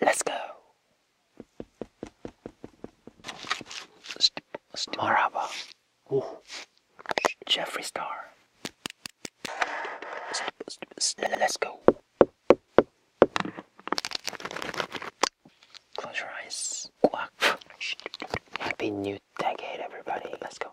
Let's go. St St Maraba. Oh. Jeffree Star. St let's go. Close your eyes. Quack. Happy new decade, everybody. Let's go.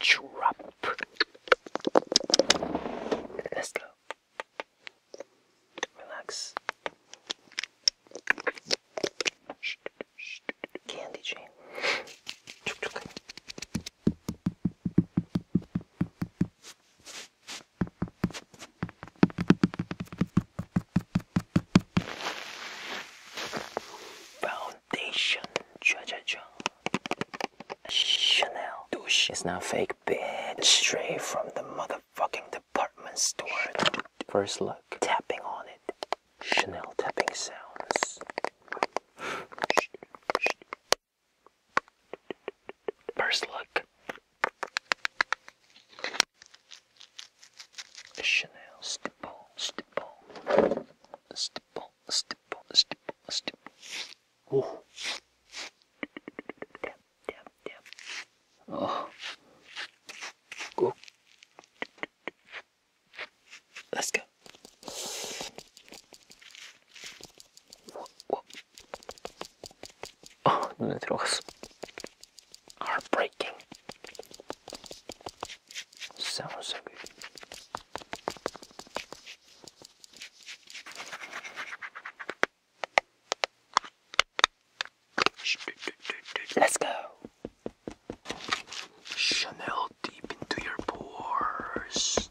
Drop. Let's go. Relax. Candy chain foundation. Cha Chanel douche It's not fake bitch. Straight from the motherfucking department store. First look. Tapping on it. Chanel tapping sounds. First look. Chanel stipple, stipple, a stipple, a stipple, a stipple, a stipple. Oh. Damn, damn, damn. Oh. Go. Let's go. Whoa, 아, 눈에 들어갔어. Heartbreaking. Sounds so good. Let's go. Chanel deep into your pores.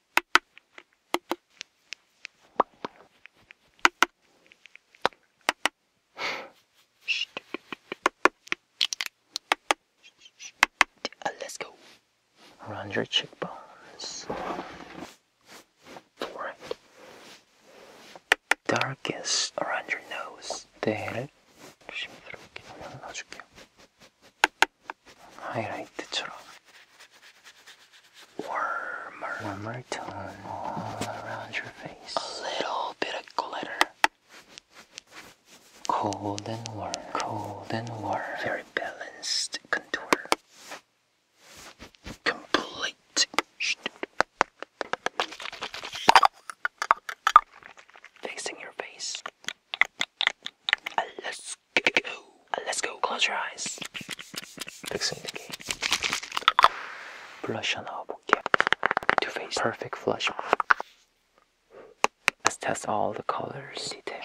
Uh, let's go. Around your cheekbones. Darkest around your nose. there. 하이라이트처럼 warmer, warmer tone all around your face. A little bit of glitter. Cold and warm, cold and warm. Very balanced contour. Complete. Facing your face. Alas. Let's go. Close your eyes. 백승대기. 블러셔 넣어볼게. Two face. Perfect flush. Let's test all the colors. 디테일.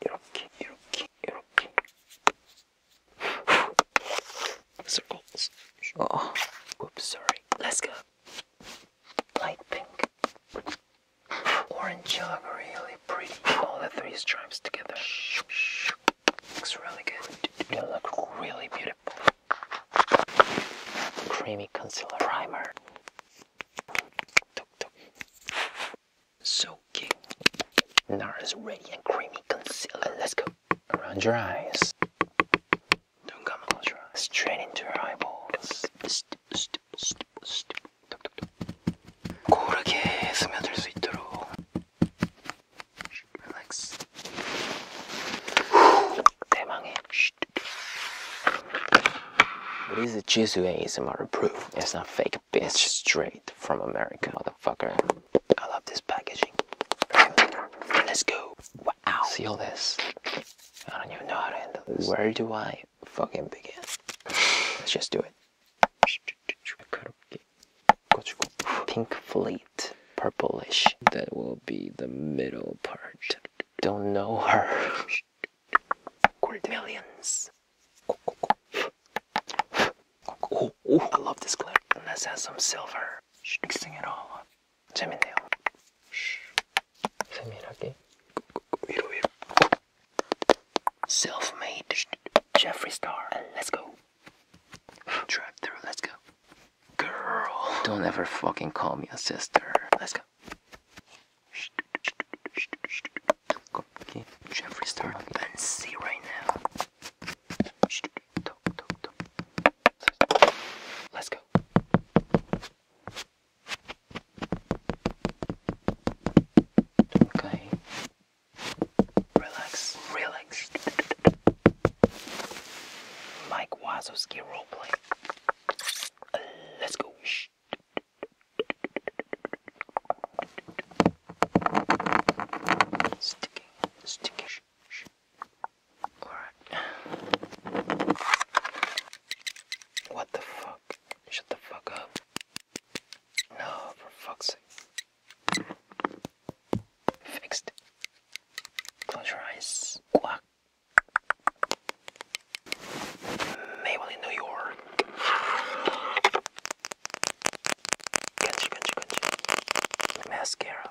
이렇게, 이렇게, 이렇게. Circles. Oh. Whoops. Sorry. Let's go. Light pink. Orange, yellow, really pretty. All the three stripes together. Looks really good. They look really beautiful. Creamy concealer primer. So cute. NARS Radiant Creamy Concealer. Let's go. Around your eyes. Don't come close your eyes. Straight into your eyeballs. 고르게 스며들 수 있도록 릴렉스 대망의 This is Jisoo ASMR proof. It's not fake, bitch. Straight from America, motherfucker. I love this packaging. Let's go. Wow. Seal this. I don't even know how to handle this. Where do I fucking begin. Let's just do it. Pink fleet, purplish. That will be the middle part. Don't know her. Millions. Oh, I love this clip. And let's add some silver. Mixing it all up. 재밌네요. 세밀하게 위로 Self-made Jeffree Star. let's go. Drive through. Let's go. Girl. Don't ever fucking call me a sister. Let's go. Okay. Jeffree Star. see right now. Let's go. Okay. Relax, relax. Mike Wazowski roleplay. Uh, let's go. Shh. Sticking, sticking. Shh, shh. All right. What the fuck? Shut the fuck up. No, for fuck's sake. Fixed. Close your eyes. Quack. Maybelline, New York. Country, country, country. Mascara.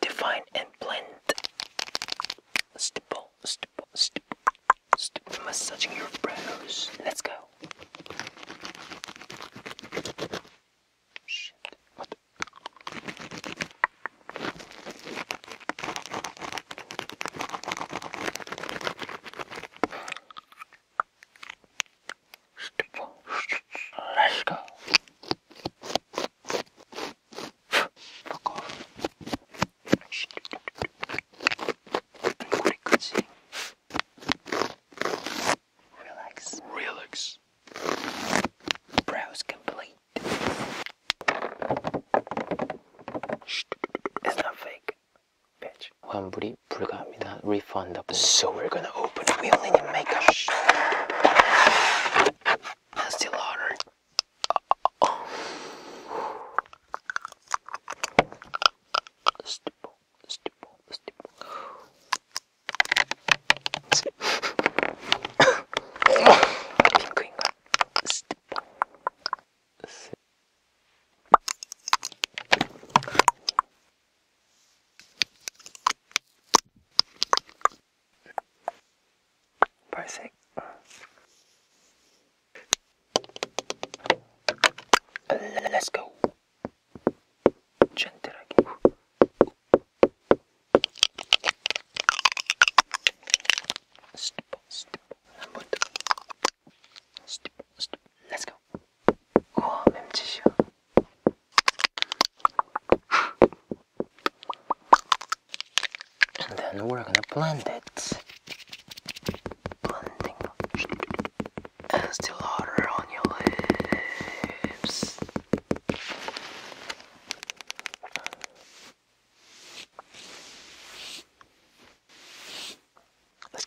Define and blend. Stipple, stipple, stipple, stipple. Massaging your brows. Let's go. Shit. What? Stipple. Let's go. Fuck off. Relax. Relax. Browse complete. It's not fake. Bitch. 환불이 불가합니다. Refundable. So we're gonna open. We only need makeup. And still order. 발색 Let's go 젠틀하게 스티퍼 스티퍼 한번더 Let's go. 우와, 맴짓이야. And then we're gonna blend it. Blending. still harder on your lips. Let's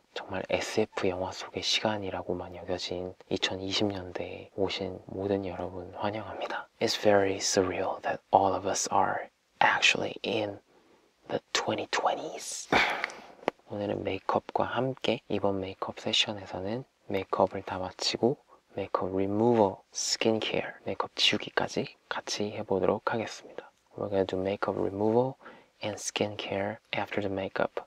그리고 정말 SF 영화 속의 시간이라고만 여겨진 2020년대에 오신 모든 여러분 환영합니다. It's very surreal that all of us are actually in the 2020s. 오늘은 메이크업과 함께 이번 메이크업 세션에서는 메이크업을 다 마치고 메이크업 리무버, 스킨케어, 메이크업 지우기까지 같이 해보도록 하겠습니다. We're gonna do makeup removal and skincare after the makeup.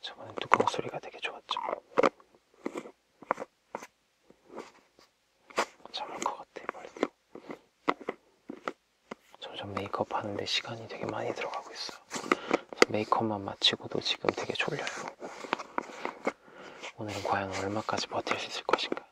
저번에 뚜껑 소리가 되게 좋았죠. 잠을 것 같아, 머리도. 점점 메이크업 하는데 시간이 되게 많이 들어가고 있어요. 메이크업만 마치고도 지금 되게 졸려요. 오늘은 과연 얼마까지 버틸 수 있을 것인가?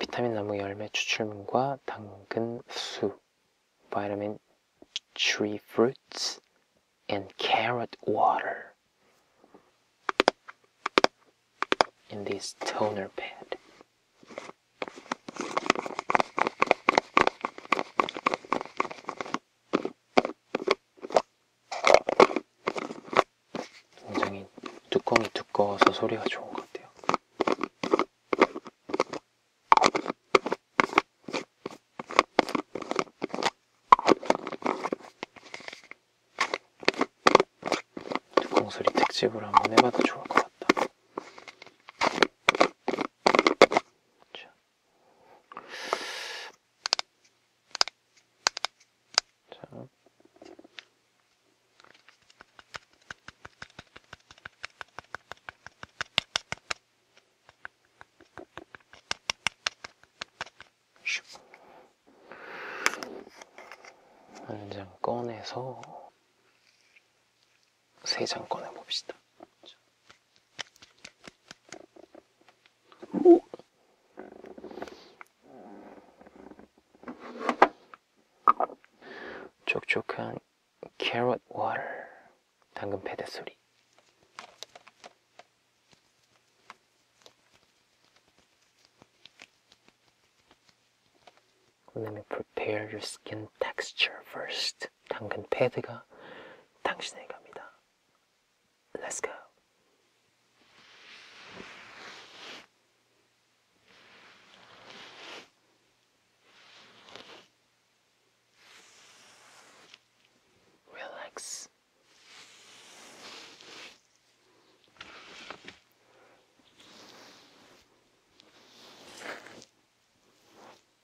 Vitamin 나무 열매 추출물과 당근 수 vitamin tree fruits and carrot water in this toner pad 굉장히 뚜껑이 두꺼워서 소리가 좋은 것 같아요. 뚜껑 소리 특집을 한번 해봐도 좋을 것 같다. 자, 자. 한장 꺼내서 3장 꺼내봅시다. 오! 촉촉한 캐럿 carrot water, 패드 소리 Let me prepare your skin texture first. 습 당근 패드가 당신에게 갑니다. Let's go. 릴렉스.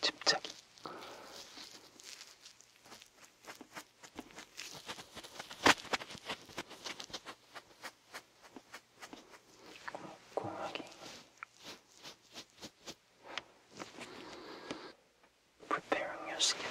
집착이 꼼꼼하게 preparing your skin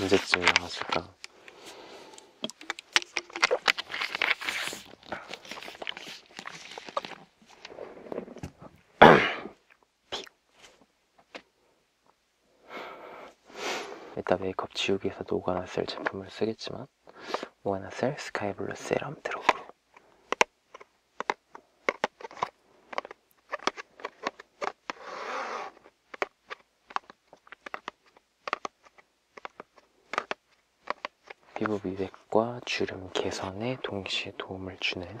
언제쯤 나왔을까? 이따 메이크업 지우기에서 노가나셀 제품을 쓰겠지만 노가나셀 스카이블루 세럼 드롭으로 피부 미백과 주름 개선에 동시에 도움을 주는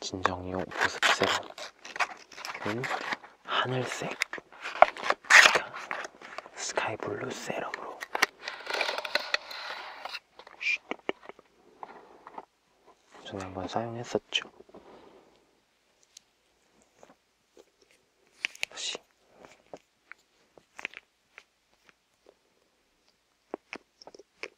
진정용 보습 세럼 음, 하늘색 그러니까 스카이 블루 세럼으로 전에 한번 사용했었죠 다시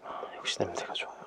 아, 역시 냄새가 좋아요.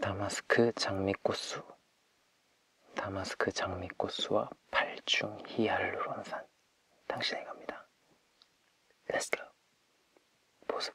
다마스크 장미꽃수 다마스크 장미꽃수와 팔중 히알루론산 당신의 갑니다 렛츠고 보습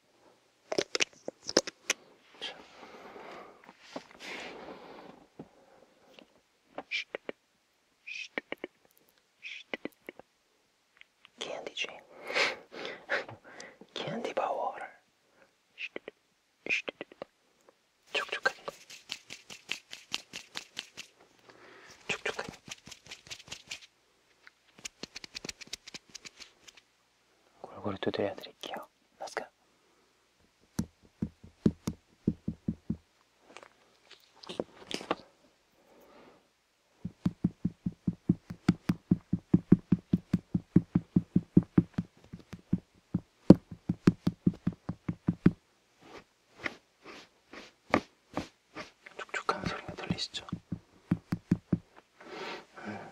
캔디지 캔디 바워를 촉촉하게 촉촉하게 골고루 두드려 드릴게요. Let's go. 촉촉한 소리가 들리시죠? 음.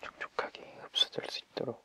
촉촉하게 흡수될 수 있도록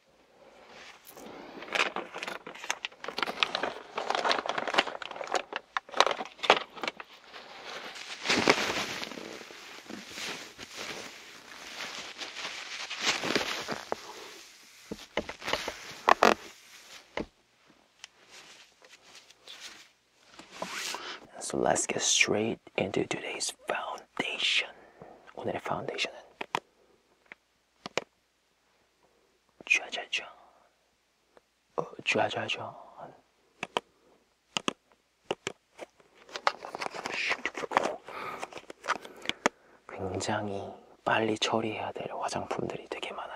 So let's get straight into today's foundation. 오늘의 foundation은 좌좌좌 어, 좌좌좌 굉장히 빨리 처리해야 될 화장품들이 되게 많아요.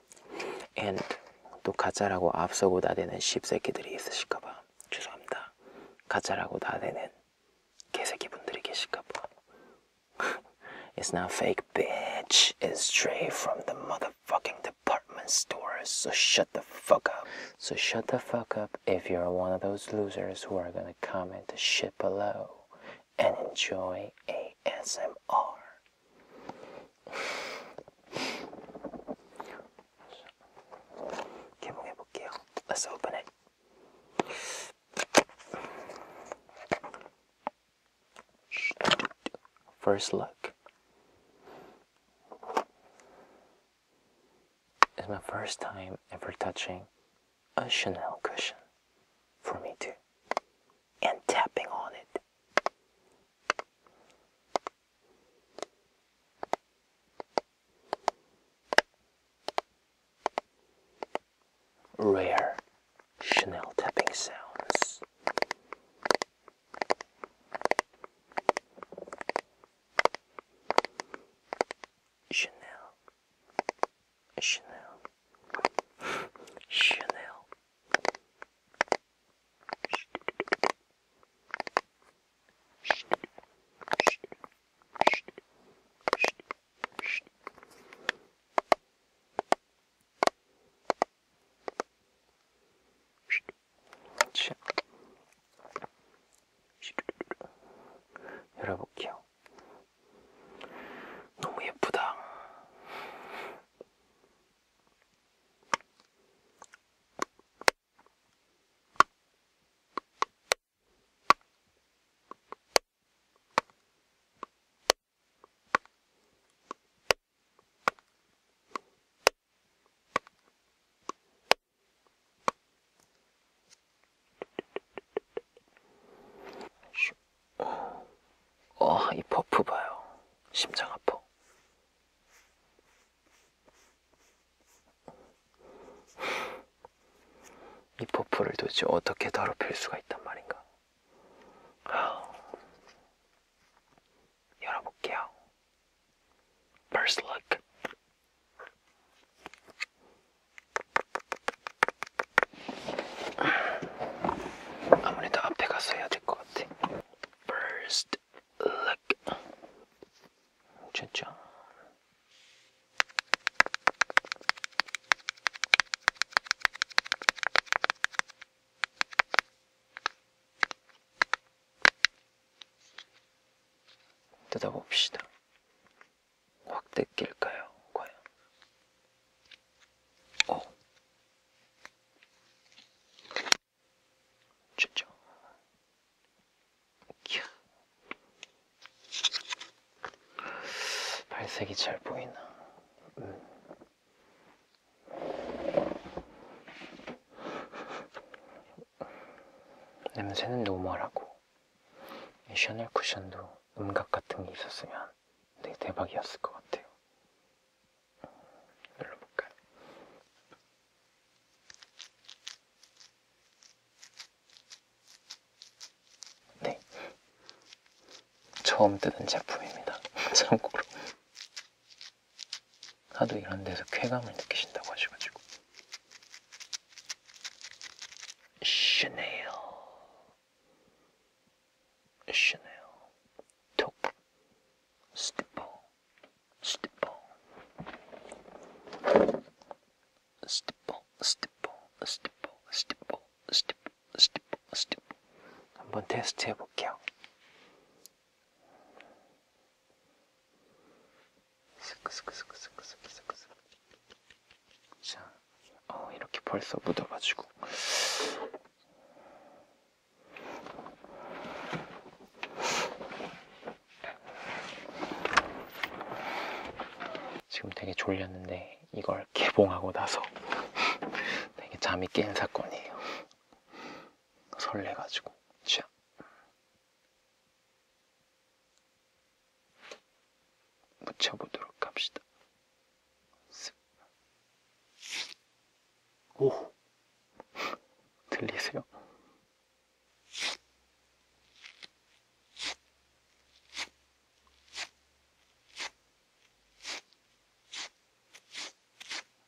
and 또 가짜라고 앞서고 나대는 십새끼들이 있으실까봐 죄송합니다. 가짜라고 나대는 개새끼분들이 계실까봐 It's not fake, bitch. It's straight from the motherfucking department store. So shut the fuck up. So shut the fuck up if you're one of those losers who are gonna comment the shit below and enjoy ASMR. 볼게요. Let's open it. First look. It's my first time ever touching a Chanel cushion for me too. And tapping on it. Rare Chanel tapping sounds. Chanel, Chanel, Chanel, 열어볼게요. 너무 예쁘다. 어, 이 버프 봐요. 심장 아파. 이 퍼프를 도대체 어떻게 더럽힐 수가 있단 말인가? 열어볼게요. First look. 아무래도 앞에 가서 해야 될 것 같아. First. look. 짜잔. 뜯어봅시다. 확 뜯길까요, 과연? 어. 짜잔. 캬. 발색이 잘 보이나. 음. 냄새는 노멀하고 샤넬 쿠션도 음각 같은 게 있었으면 되게 대박이었을 것 같아요. 눌러볼까요? 네. 처음 뜯은 제품입니다. 참고로. 하도 이런 데서 쾌감을 느끼신다고 하셔가지고. 샤넬. 샤넬. 톱. 스티퍼. 스티퍼 스티퍼 스티퍼 스티퍼 스티퍼 스티퍼 스티퍼 스티퍼 한번 테스트 해볼게요 스크스크스크스크스크스크 자, 어, 이렇게 벌써 묻어가지고 지금 되게 졸렸는데 이걸 개봉하고 나서 되게 잠이 깬 사건이에요. 설레가지고 취향. 묻혀보도록 합시다. 오 들리세요?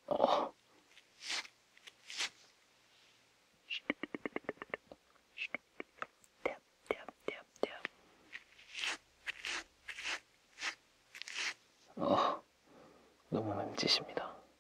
어. 어, 너무 멈지십니다.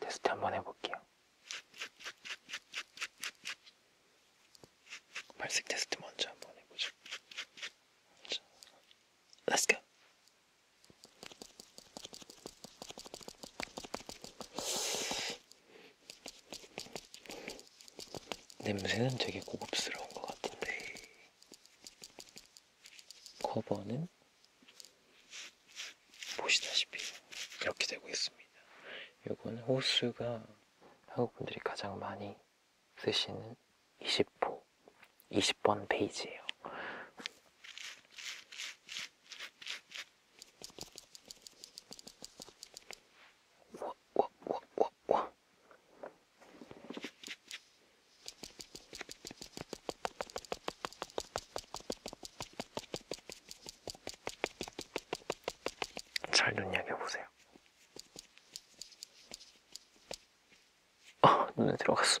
테스트 한번 해볼게요. 발색 테스트 먼저 한번 해보죠. 먼저. Let's go. 냄새는 되게 고급스러운 것 같은데 커버는 보시다시피 이렇게 되고 있습니다. 이건 호수가 한국분들이 가장 많이 쓰시는 20호 20번 페이지예요. 잘 눈여겨보세요. 아, 눈에 들어갔어.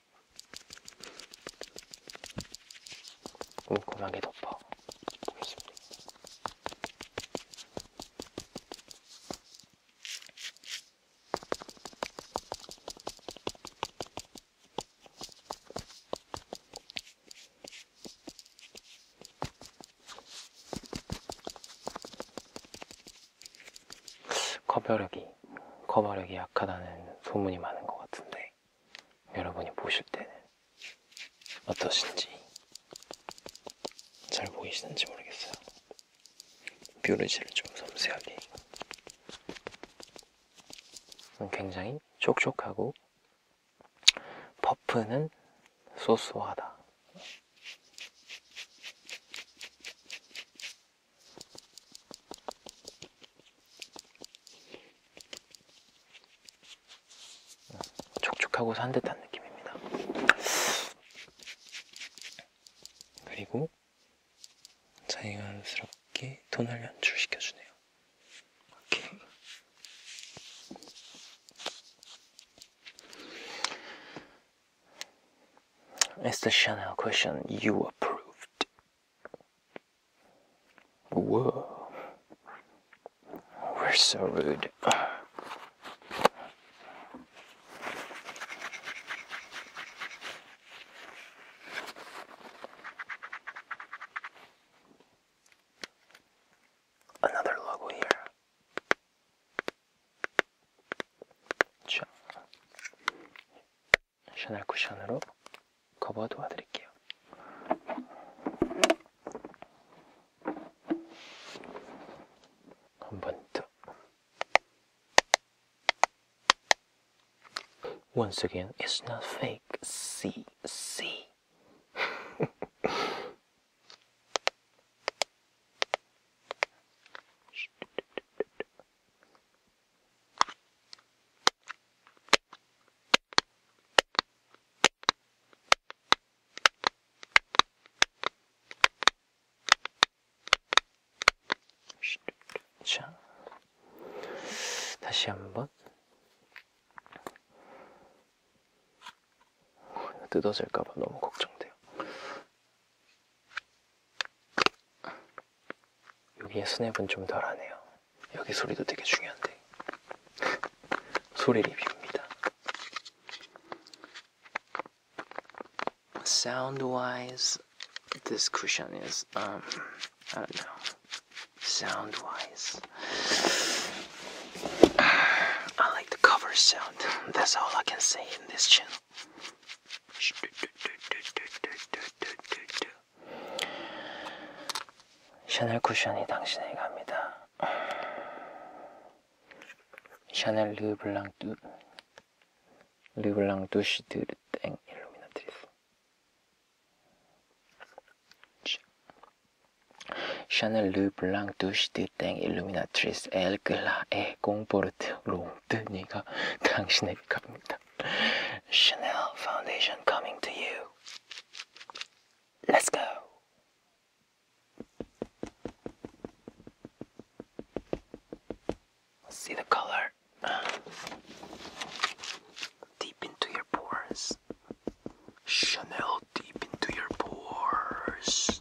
꼼꼼하게 덮어 보겠습니다. 커버력이 커버력이 약하다는 소문이 많은 것 같은데 여러분이 보실 때는 어떠신지 잘 보이시는지 모르겠어요. 뾰루지를 좀 섬세하게 굉장히 촉촉하고 퍼프는 소소하다. 촉촉하고 산뜻한 느낌입니다. 그리고 자연스럽게 톤을 연출시켜주네요. 이렇게. Mr. Chanel question you approved. Whoa. We're so rude. Another logo here. John. 셔널 쿠션으로 커버 도와드릴게요. 한번 더. Once again, it's not fake. See, see. 자, 다시 한번 뜯어질까봐 너무 걱정돼요. Sound wise, this cushion is, um, I don't know. Sound wise. I like the cover sound. That's all I can say in this channel. 샤넬 쿠션이 당신에게 갑니다. 샤넬 르블랑 뚜 르블랑 두시드르 땡 일루미나트리스 샤넬 르블랑 두시드 땡 일루미나트리스 엘글라에 공포르트 롱뜨니가 당신에게 갑니다. Chanel Foundation coming to you. Let's go. See the color deep into your pores. Chanel deep into your pores.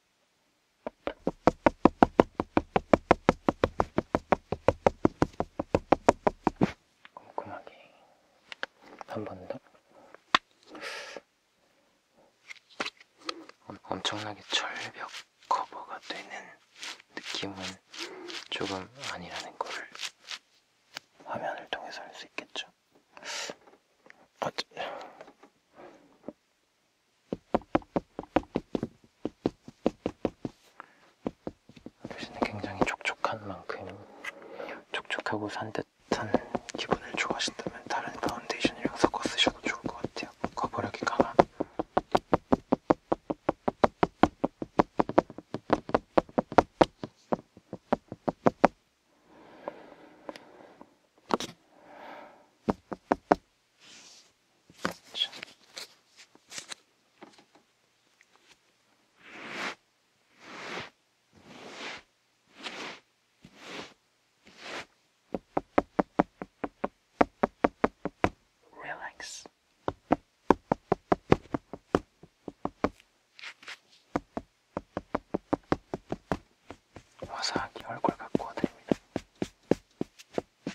꼼꼼하게 한 번 더. 엄청나게 절벽 커버가 되는 느낌은 조금 아니라는 거를 화면을 통해서 알수 있겠죠. 대신에 굉장히 촉촉한 만큼 촉촉하고 산뜻한 기분을 좋아하신다면 다른 파운데이션이랑 섞어 쓰셔도 좋을 것 같아요. 거부력이 강한 relax. 화사하게 얼굴 갖고 와드립니다.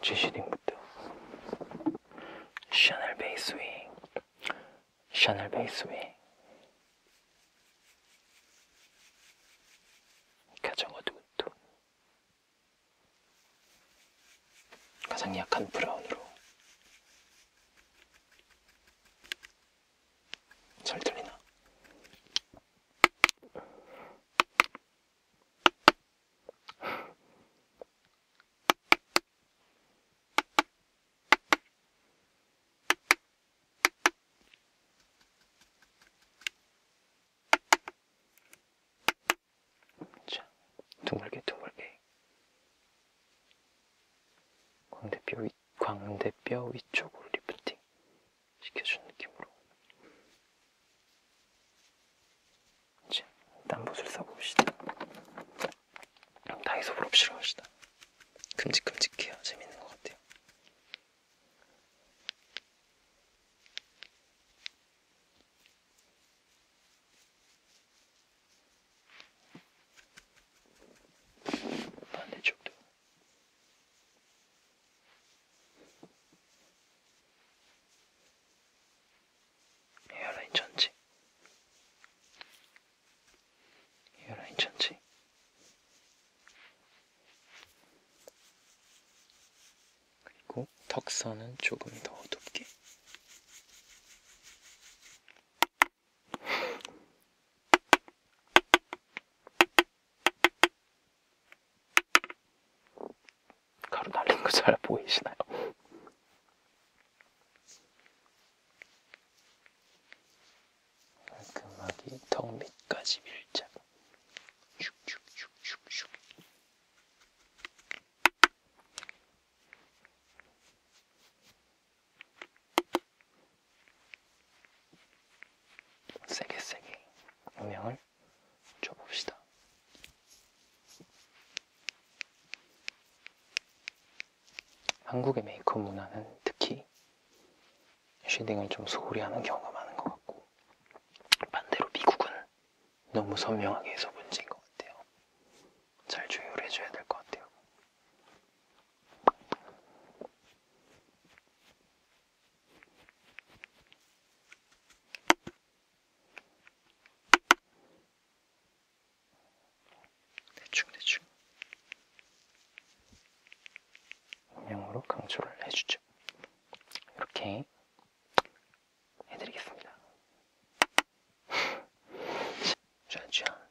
G시딩부터 샤넬 베이스윙 샤넬 베이스윙 가장 어두운 톤 가장 약한 브라운으로 잘 들리나? 자, 둥글게 둥글게 광대뼈, 위, 광대뼈 위쪽으로 리프팅 시켜주는 느낌으로 자, 난못을 써봅시다. 다이소 볼업시로 합시다. 큼직큼직해요. 재밌는 것 같아요. 반대쪽도 헤어라인 천지 헤어라인 천지 그리고 턱선은 조금 더 좁게 가루 날린 거 잘 보이시나요? 깔끔하게 턱 밑까지 밀자. 슉슉슉슉슉. 세게 세게 음영을 줘봅시다. 한국의 메이크업 문화는 특히 쉐딩을 좀 소홀히 하는 경우가 많은 것 같고 반대로 미국은 너무 선명하게 해서 문제인 것 같아요. 잘 조율 해줘야 될 것 같아요. 대충 대충 음영으로 강조를 해주죠. 이렇게 해드리겠습니다. 자, 자,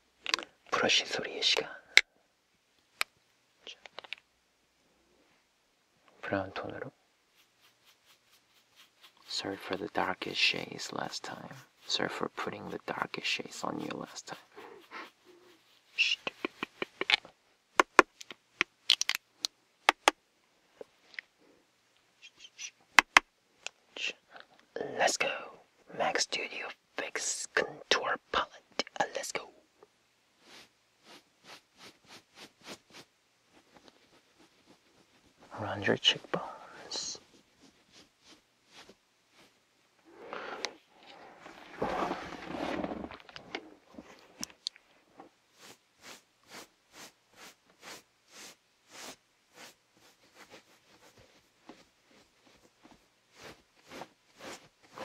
브러쉬 소리의 시간. 자, 브라운 톤으로. Sorry for the darkest shades last time. Sorry for putting the darkest shades on you last time. Let's go. Max Studio Fix Contour Palette. Uh, let's go around your cheekbones.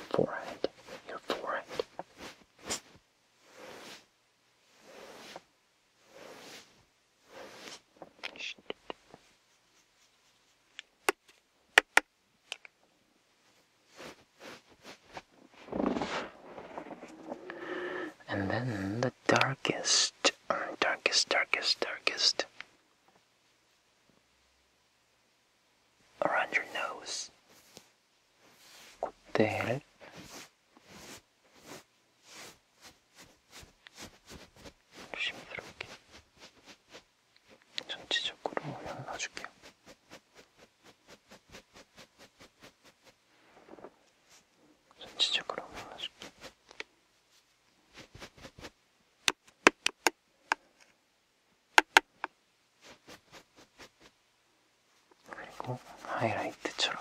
Forehead, your forehead, and then the darkest, darkest, darkest, darkest around your nose. What the 조심스럽게 전체적으로 연나줄게요. 전체적으로 연나줄게요. 그리고 하이라이트처럼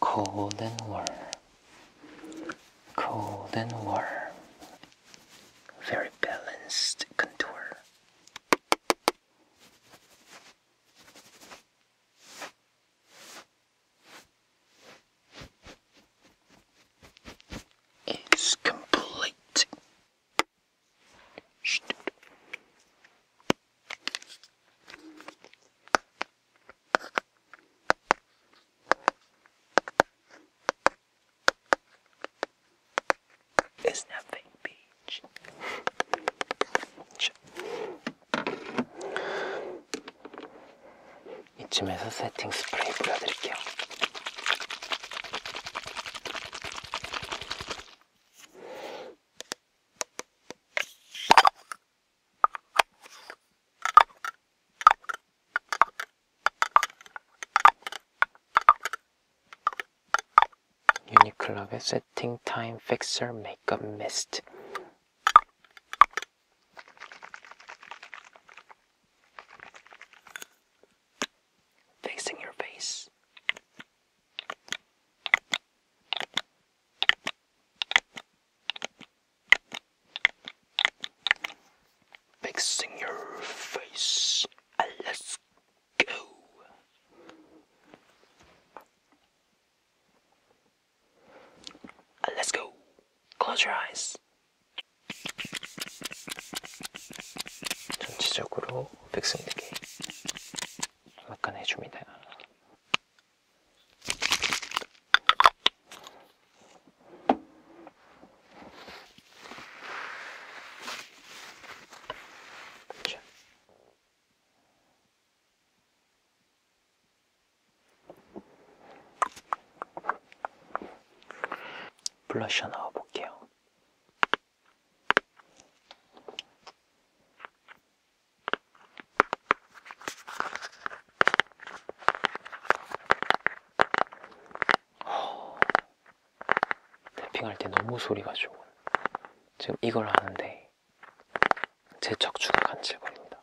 cold and warm, cold and warm, very balanced contour. It's complete. Isn't that fake 이쯤에서 세팅 스프레이 뿌려드릴게요. 유니클럽의 세팅 타임 픽서 메이크업 미스트 Facing your face. Fixing your face. Uh, let's go. Let's go. Close 전체적으로 백승대기 막간해줍니다. 블러셔 넣어볼게요. 탭핑할 때 너무 소리가 좋은 지금 이걸 하는데 제 척추가 간질거립니다.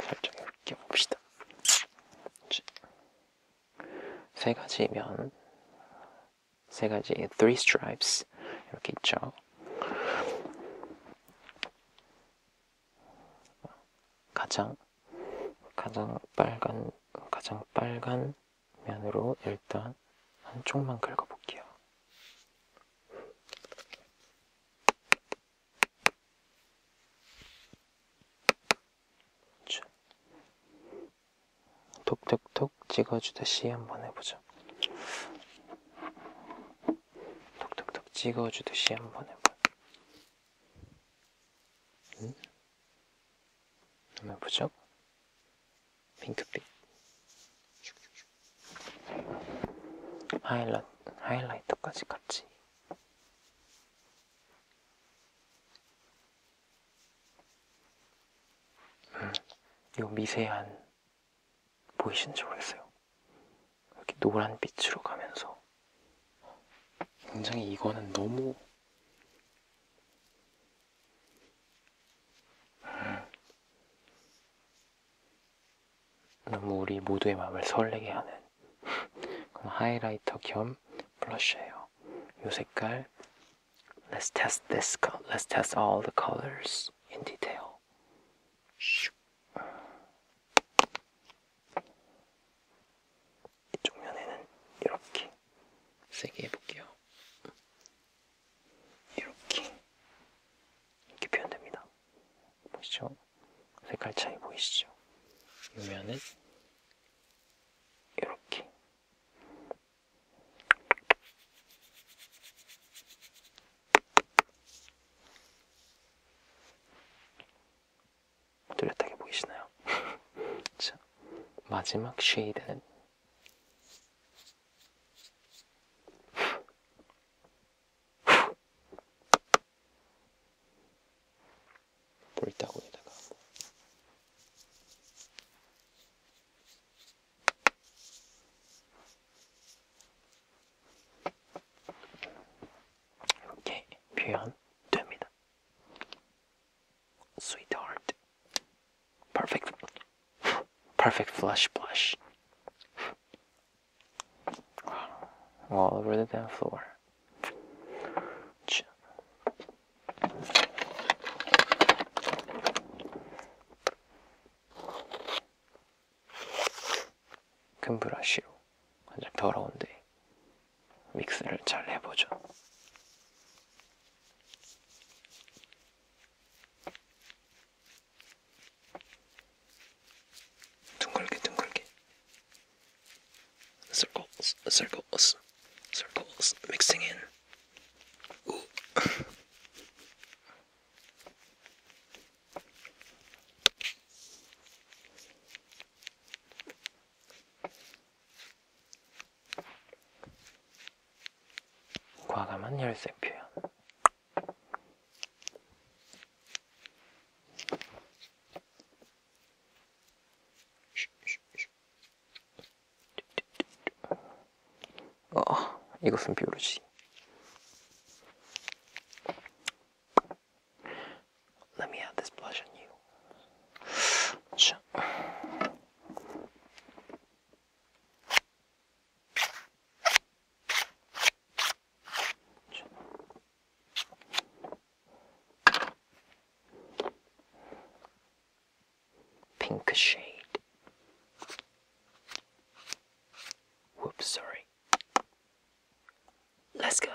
살짝 으깨봅시다. 세 가지 면, 세 가지 three stripes 이렇게 있죠. 가장 가장 빨간 가장 빨간 면으로 일단 한쪽만 긁어볼게요. 그렇죠. 톡톡톡 찍어주듯이 한번 해보죠. 톡톡톡 찍어주듯이 한번 해보. 한번 해보죠. 핑크빛 하이라, 하이라이트까지 같이 음, 요 미세한 보이신지 모르겠어요 이렇게 노란 빛으로 가면서 굉장히 이거는 너무 너무 우리 모두의 마음을 설레게 하는 그런 하이라이터 겸 블러셔예요. 이 색깔 Let's test this color. Let's test all the colors in detail. 이쪽 면에는 이렇게 세게 해볼게요. 이렇게 이렇게 표현됩니다. 보시죠? 색깔 차이 보이시죠? 이면은 이렇게 뚜렷하게 보이시나요? 자, 마지막 쉐이드는 볼따구에다가 이렇게 표현됩니다. 스위트하트 Perfect. Perfect flush blush. All over the damn floor. 큰 브러쉬로 아주 더러운데 믹스를 잘 해보죠. 둥글게 둥글게 circles circles circles mixing in Ooh. 과감한 열쇠 표현 어, 이것은 비오르지. Let me add this blush on you. 자. Pink shade. Whoops, sorry. Let's go.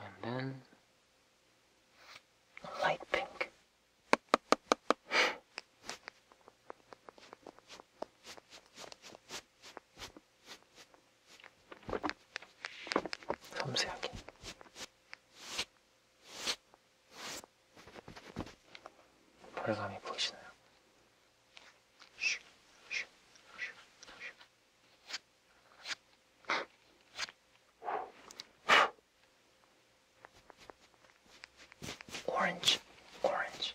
And then a light pink. 섬세하게. 벌감이 보이시나요? 오렌지, 오렌지.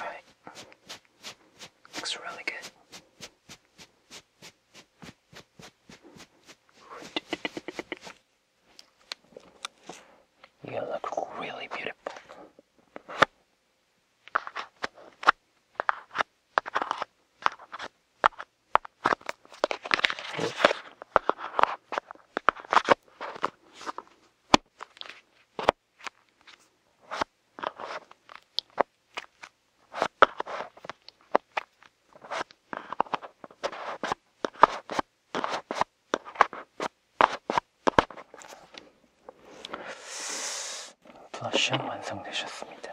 Alright. Looks really good. You look really beautiful. 브러쉬는 완성되셨습니다.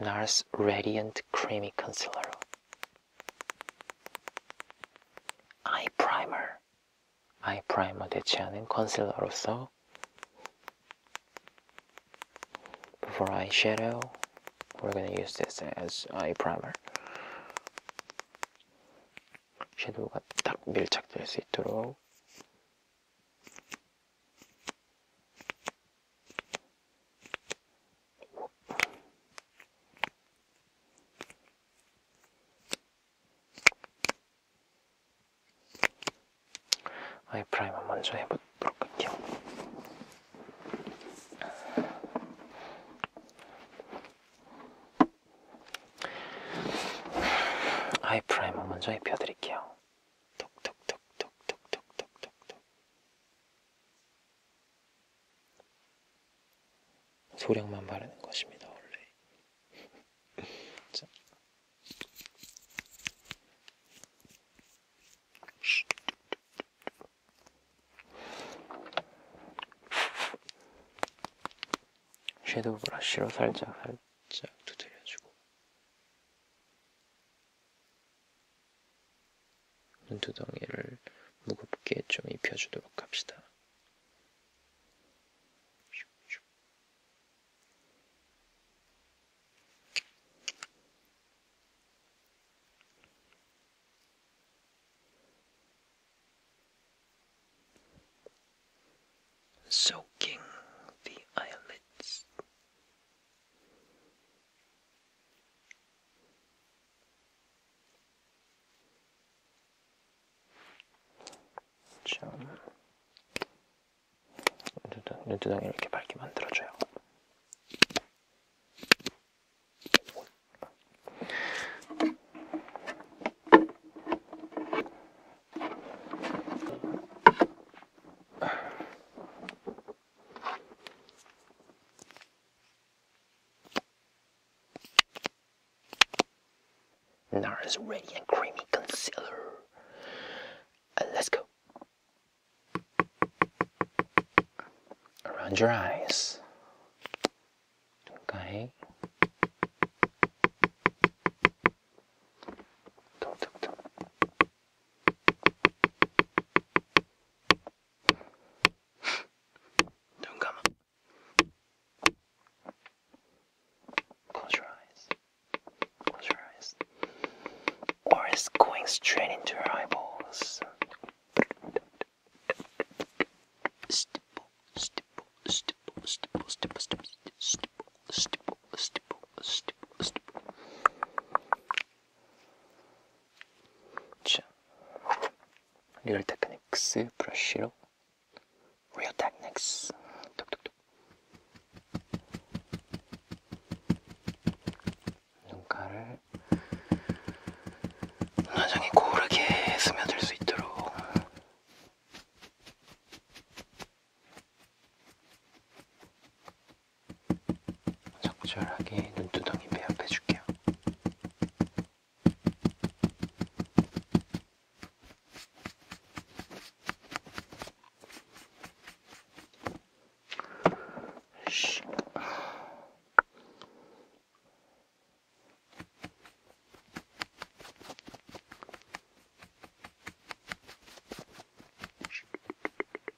NARS Radiant Creamy Concealer. 아이 프라이머. 아이 프라이머 대체하는 컨실러로서 for eyeshadow, we're gonna use this as eye primer. 섀도우가 딱 밀착될 수 있도록 아이 프라이머 먼저 해보도록 할게요. 아이 프라이머 먼저 입혀드릴게요. 톡톡톡톡톡톡톡톡톡 소량만 바르는 것입니다, 원래. 자. 섀도우 브러쉬로 살짝 살짝 두드려주고 눈두덩이를 무겁게 좀 입혀주도록 합시다. soaking the eyelids. 참 눈두덩이 이렇게 밝게 만들어줘요. NARS Ready and Creamy Concealer. Uh, let's go. Around your eyes. Okay. Don't come Close your eyes. Close your eyes. Or it's going straight into your eyeballs. stipple, stipple, stipple, stipple, stipple, stipple, stipple, stipple, stipple, stipple. 자, 리얼 테크닉스 그 브러쉬로 리얼 테크닉스 톡톡톡 눈가를 화장이 고르게 스며들 수 있도록 적절하게 눈두덩이 배합해 줄게요.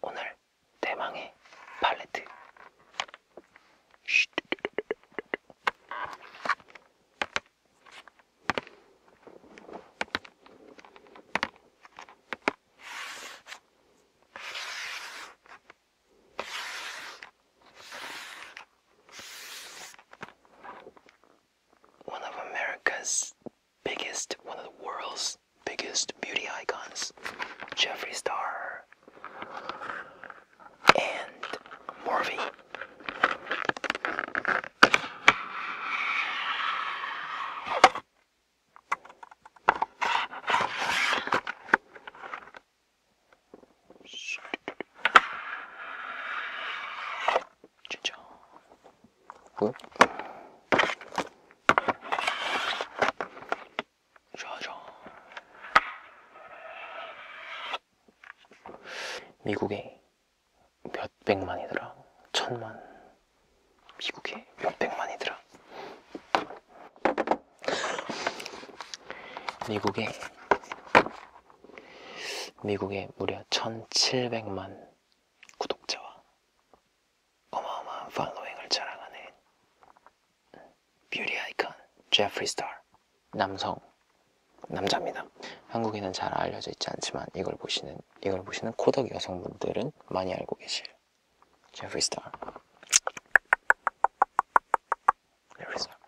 오늘 대망의 팔레트 One of America's biggest, one of the world's biggest beauty icons, Jeffree Star and Morphe. 진짜. 뭐? 자자. 미국의 몇 백만이더라. 천만. 미국에 몇 백만이더라. 미국에 미국에 무려 1700만 구독자와 어마어마한 팔로잉을 자랑하는 뷰티 아이콘 제프리 스타 남성 남자입니다. 한국에는 잘 알려져 있지 않지만 이걸 보시는 이걸 보시는 코덕 여성분들은 많이 알고 계실 제프리 스타 제프리 스타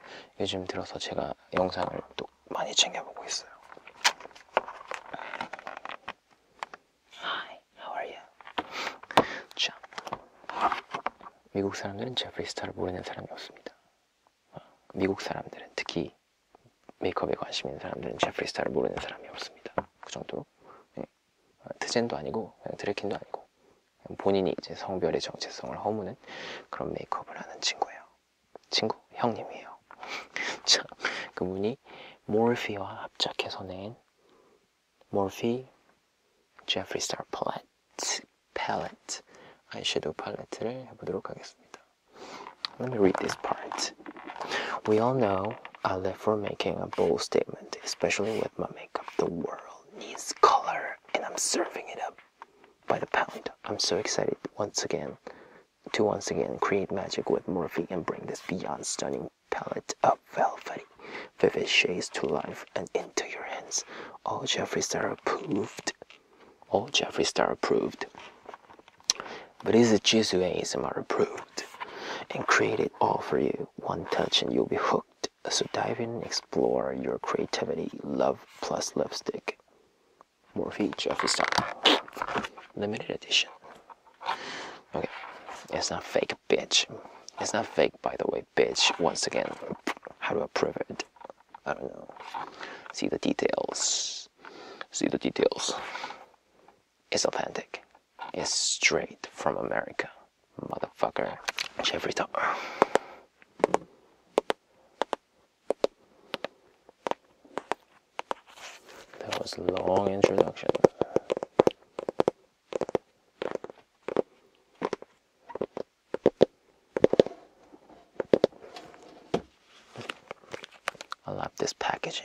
요즘 들어서 제가 영상을 또 많이 챙겨보고 있어요 Hi, how are you? 자, 미국 사람들은 제프리 스타를 모르는 사람이 없습니다 미국 사람들은 특히 메이크업에 관심 있는 사람들은 제프리 스타를 모르는 사람이 없습니다. 그 정도로 네. 아, 트젠도 아니고 드레킨도 아니고 본인이 이제 성별의 정체성을 허무는 그런 메이크업을 하는 친구예요. 친구, 형님이에요. 자, 그분이 몰피와 합작해서 낸 몰피 제프리 스타 팔레트 팔레트 아이섀도우 팔레트를 해보도록 하겠습니다. Let me read this part. We all know I uh, live for making a bold statement, especially with my makeup. The world needs color, and I'm serving it up by the pound. I'm so excited once again to once again create magic with Morphe and bring this beyond stunning palette of velvety, vivid shades to life and into your hands. All Jeffrey Star approved. All Jeffrey Star approved. But is it cheese you ASMR approved and created all for you. One touch and you'll be hooked. So dive in explore your creativity. Love plus lipstick. More features each every time. Limited edition. Okay. It's not fake, bitch. It's not fake, by the way, bitch. Once again, how do I prove it? I don't know. See the details. See the details. It's authentic is straight from America, motherfucker. Jeffrey Dahmer. That was a long introduction. I love this packaging.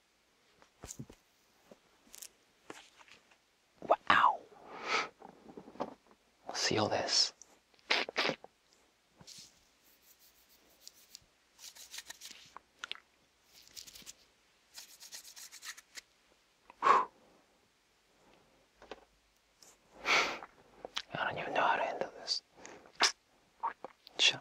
Wow. We'll this. I don't even know how to handle this. Sure.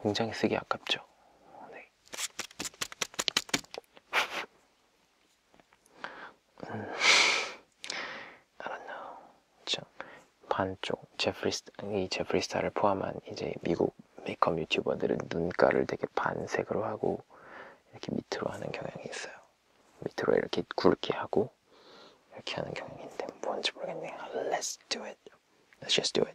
굉장히 쓰기 아깝죠. 네. 음, I don't know. 저 반쪽 제프리스 이 제프리스타를 포함한 이제 미국 메이크업 유튜버들은 눈가를 되게 반색으로 하고 이렇게 밑으로 하는 경향이 있어요. 밑으로 이렇게 굵게 하고 이렇게 하는 경향인데 뭔지 모르겠네요. Let's do it. Let's just do it.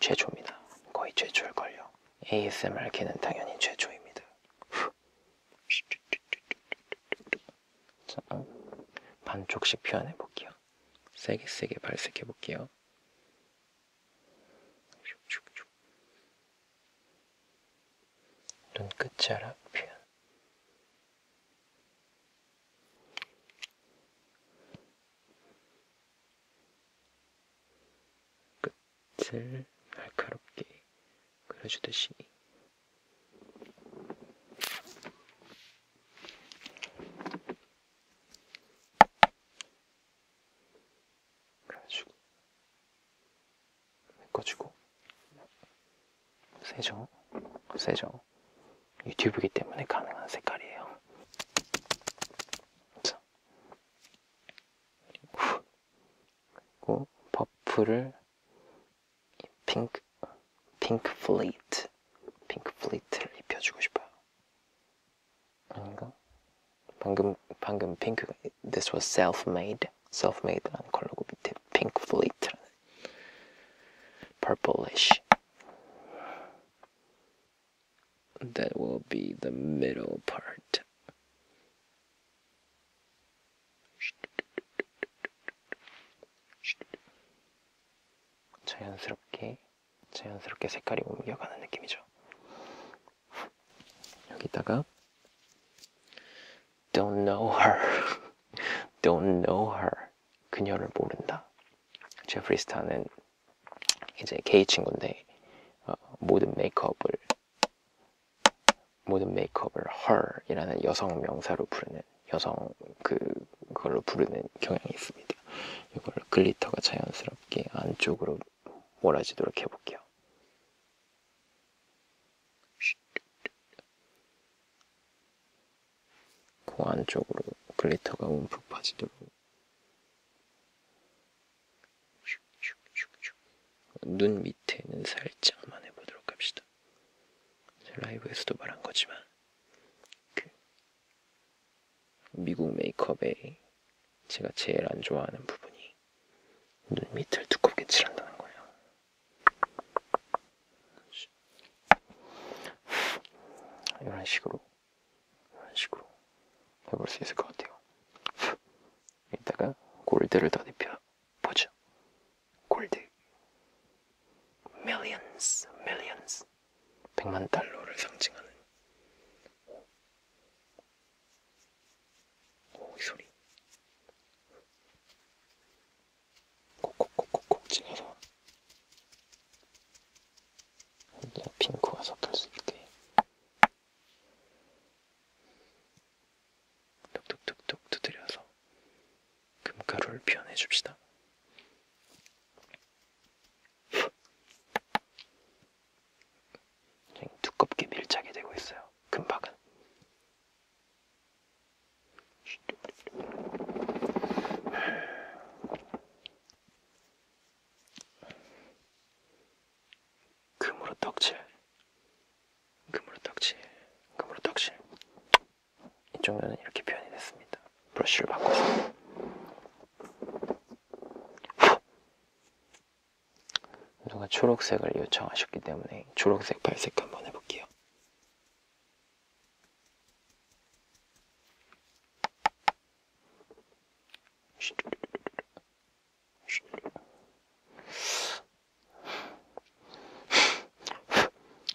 최초입니다. 거의 최초일걸요. ASMR계는 당연히 최초입니다. 자, 반쪽씩 표현해볼게요. 세게 세게 발색해볼게요. 눈끝자락 표현 끝 빛을 날카롭게 그려주듯이 그려주고 메꿔주고 세죠? 세죠? 유튜브이기 때문에 가능한 색깔이에요. 자, 그리고 버프를 핑크 핑크 플레이트 핑크 플레이트를 입혀주고 싶어요. 아닌가? 방금 방금 핑크 this was self-made self-made라는 컬러고 밑에 핑크 플레이트라는 purplish that will be the middle part. 자연스럽게 자연스럽게 색깔이 옮겨가는 느낌이죠. 여기다가 Don't know her. Don't know her. 그녀를 모른다. 제프리 스타는 이제 게이 친구인데 어, 모든 메이크업을 모든 메이크업을 her이라는 여성 명사로 부르는 여성 그 그걸로 부르는 경향이 있습니다. 이걸 글리터가 자연스럽게 안쪽으로 몰아지도록 해볼게요. 코 그 안쪽으로 글리터가 움푹 빠지도록 눈 밑에는 살짝만 해보도록 합시다. 라이브에서도 말한 거지만 그 미국 메이크업에 제가 제일 안 좋아하는 부분이 눈 밑을 두껍게 칠한다는 거예요. 이런 식으로 이런 식으로 해볼 수 있을 것 같아요. 이따가 골드를 더 입혀 보죠. 골드. millions, millions. 100만 달러를 상징하는 오, 오 소리 콕콕콕콕콕 찍어서 핑크와 섞을 수 있게 톡톡톡톡 두드려서 금가루를 표현해 줍시다. 두껍게 밀착이 되고 있어요. 금박은. 금으로 떡칠 금으로 떡칠 금으로 떡칠 이쪽 면은 이렇게 표현이 됐습니다 브러쉬를 바꿔서 누가 초록색을 요청하셨기 때문에 초록색 발색 한번 해볼게요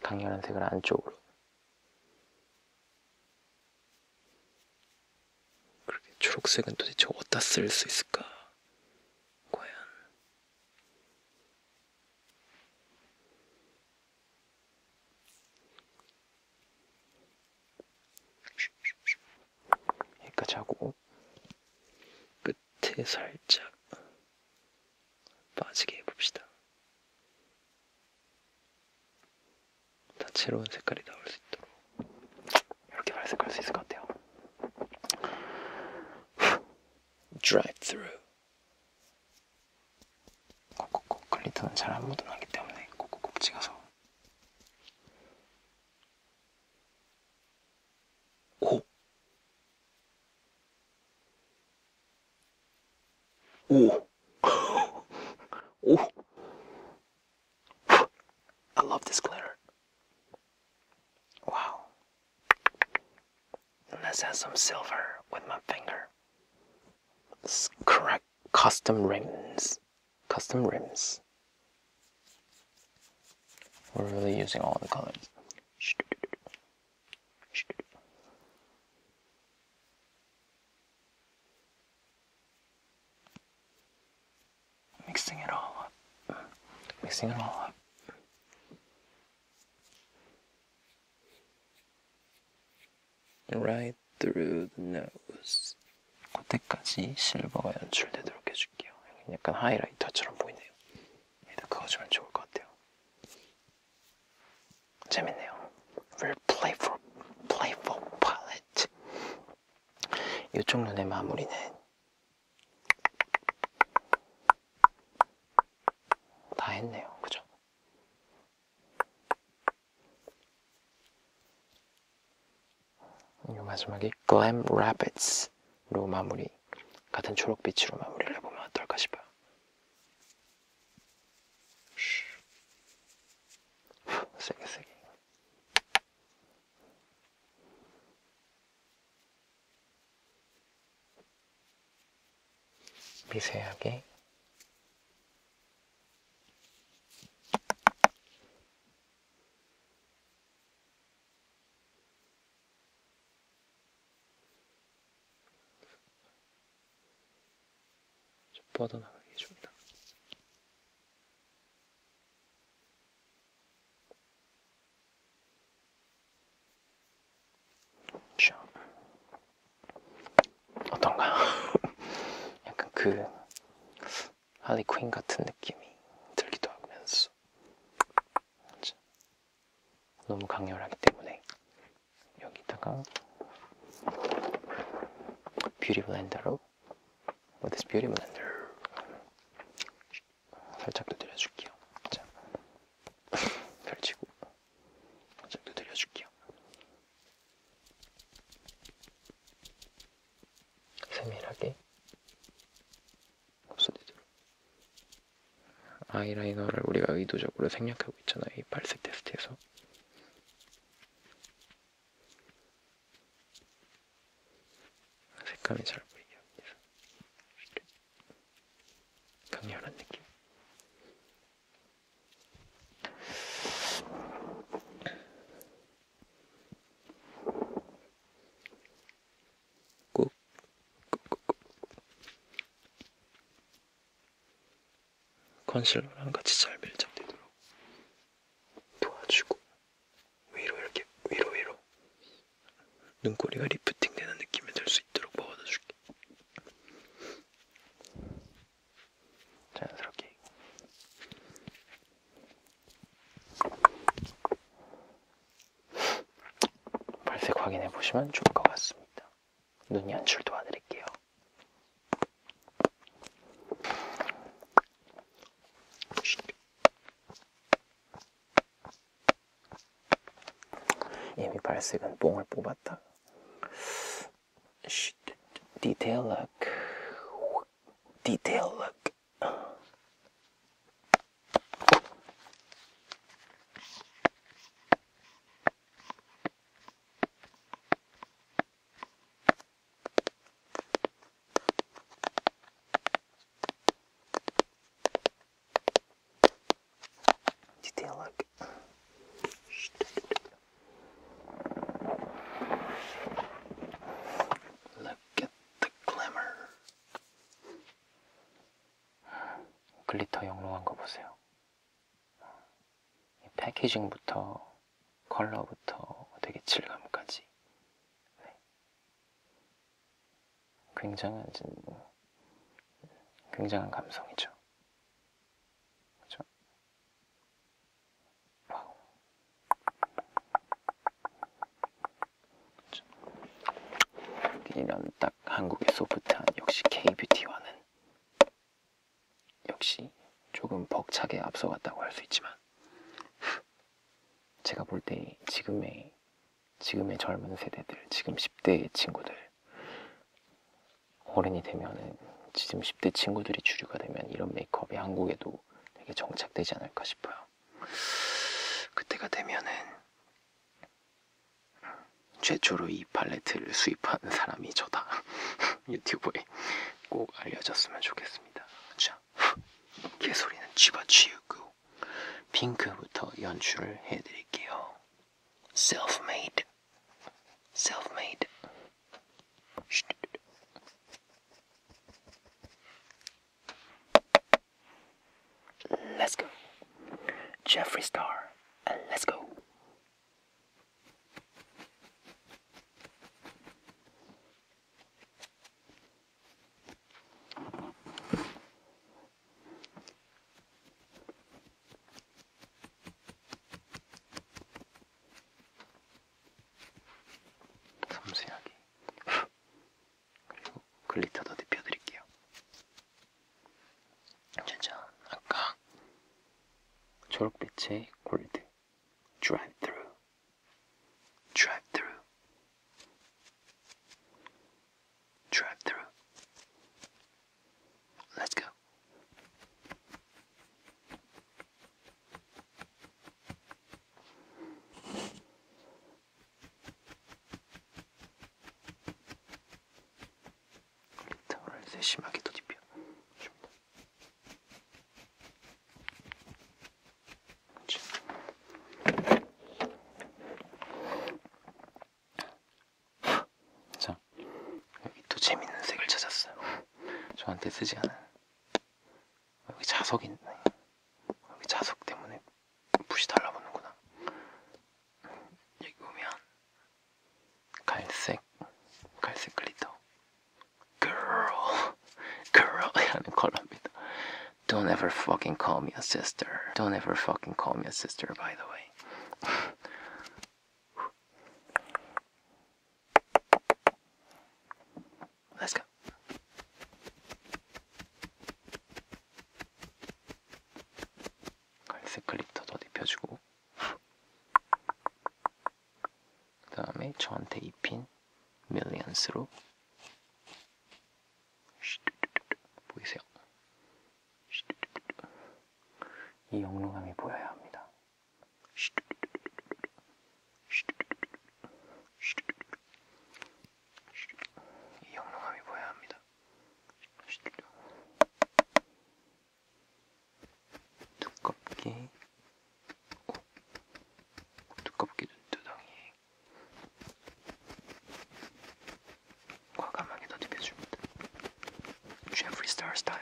강렬한 색을 안쪽으로 그렇게 초록색은 도대체 어디다 쓸 수 있을까? 과연 여기까지 하고 끝에 살짝 빠지게 해봅시다. 다채로운 색깔이 나올 수 있도록 이렇게 발색할 수 있을 것 같아요. Drive through. 꼭꼭꼭 글리터는 잘 안 묻어나기 때문에 꼭꼭꼭 찍어서 おお oh. I love this glitter. Wow. And this has some silver with my finger. This correct custom rings custom rims. We're really using all the colors. Mixing it all up. Mixing it all up. Right through the nose. 그때까지 실버가 연출되도록 해줄게요. 약간 하이라이터처럼 보이네요. 얘도 그어주면 좋을 것 같아요. 재밌네요. Very playful, playful palette. 이쪽 눈의 마무리는 다 했네요. 그죠? 요 마지막에 Glam Rapids로 마무리 같은 초록빛으로 마무리를 해보면 어떨까 싶어요 세게 세게 미세하게 뻗어나가게 해줍니다. 어떤가요? 약간 그 하리퀸 같은 느낌이 들기도 하면서 그렇죠. 너무 강렬하기 때문에 여기다가 뷰티 블렌더로 With this beauty blender 살짝 두드려줄게요 자, 펼치고 살짝 두드려줄게요 세밀하게 무슨 일이로 아이라이너를 우리가 의도적으로 생략하고 있잖아 이 발색 테스트에서 색감이 잘 보이게 합니다 강렬한 느낌 꾹, 꾹, 꾹, 꾹. 컨실러랑 같이 잘 밀착되도록 도와주고 위로 이렇게 위로 위로 눈꼬리가 리프팅되는 느낌이 들 수 있도록 먹어줘줄게 자연스럽게 발색 확인해 보시면 좋을 것 같습니다. 눈 연출 도와드릴게요. 이미 발색은 뽕을 뽑았다. 디테일 락 디테일 락 Just take a look. Look at the glimmer. 글리터 영롱한 거 보세요. 패키징부터 컬러부터 되게 질감까지 네. 굉장한 굉장한 감성이죠. 그렇죠? 와우. 이런 딱 한국의 소프트한 역시 K뷰티와는 역시 조금 벅차게 앞서갔다고 할 수 있지만 제가 볼 때 지금의 지금의 젊은 세대들 지금 10대 친구들 어른이 되면은 지금 10대 친구들이 주류가 되면 이런 메이크업이 한국에도 되게 정착되지 않을까 싶어요 그때가 되면은 최초로 이 팔레트를 수입한 사람이 저다. 유튜브에 꼭 알려졌으면 좋겠습니다. 자, 개소리는 집어치우고 핑크부터 연출을 해드릴게요. Self-made, self-made. Let's go. Jeffree Star, and let's go. 그리고 글리터도 눕혀드릴게요. 짜잔, 아까 초록빛의 골드 드라이브 트루 드라이브 트루 드라이브 트루 Let's go. 글리터를 세심하게 도입해 줍니다. 자, 여기 또 재밌는 색을 찾았어요. 저한테 쓰지 않은 여기 자석이 있네. 여기 자석 때문에 Girl, girl 컬러입니다 컬러입니다. Don't ever fucking call me a sister. Don't ever fucking call me a sister, by the way. Let's go. 갈색 아, 글리터 더 입혀주고 그 다음에 저한테 입힌 밀리언스로 보이세요? 이 영롱함이 보여야 합니다. 이 영롱함이 보여야 합니다. 두껍게 두껍게 눈두덩이에 과감하게 더듬혀줍니다. 제프리 스타 스타일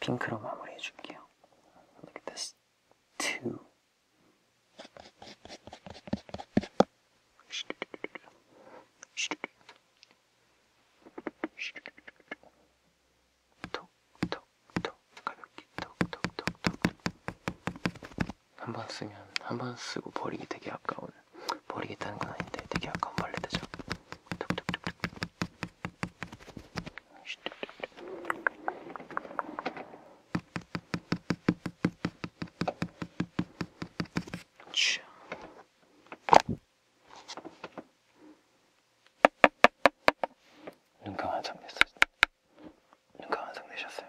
핑크로 마무리해 줄게요. Look at this. Two. 톡톡톡 가볍게 톡톡톡톡 한 번 쓰면 한 번 쓰고 버리기 되게 아까운 버리겠다는 건 아닌데 되게 아까운 벌레 되죠 톡톡톡톡 눈감 완성 됐어요. 눈감 완성 되셨어요.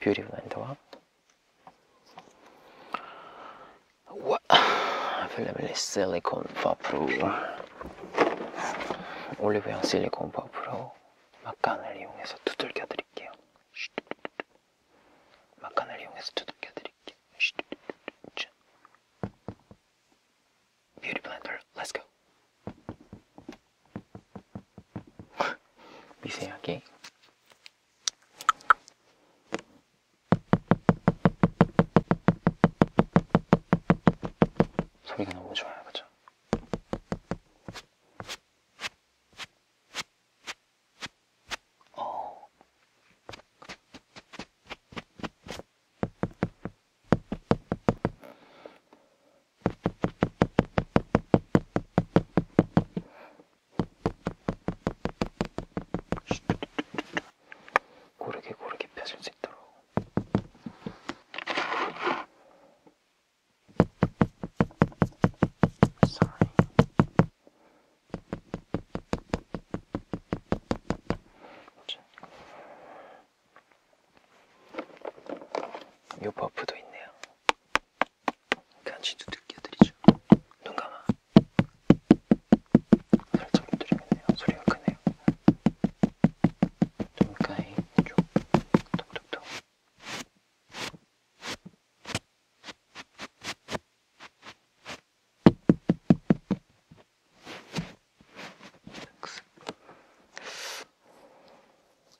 beautiful and what? what? Available is silicone 버프로 올리브영 실리콘 버프로 막간을 이용해서 두들겨 드릴게요. 막간을 이용해서 두들겨 드릴게요. Beauty blender, let's go. 미세하게 소리가 너무 좋아요, 그죠? 어. 고르게 고르게 펴질 수 있도록 사이 요 버프도 있네요. 같이 두들겨드리죠. 눈 감아. 살짝 두드리겠네요. 소리가 크네요. 눈가에 쭉 톡톡톡.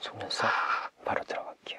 속눈썹 바로 들어갈게요.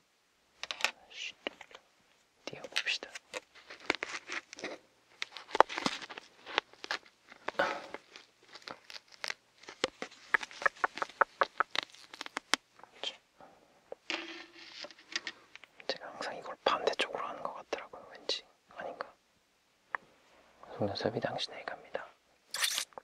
뛰어봅시다. 제가 항상 이걸 반대쪽으로 하는 것 같더라고요. 왠지 아닌가? 속눈썹이 당신에게 갑니다.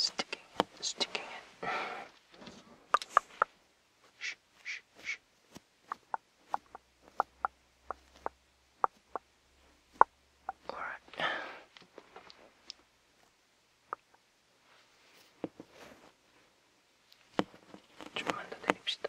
Sticking it, sticking it. Shh, shh, shh. All right. 좀만 더 내립시다.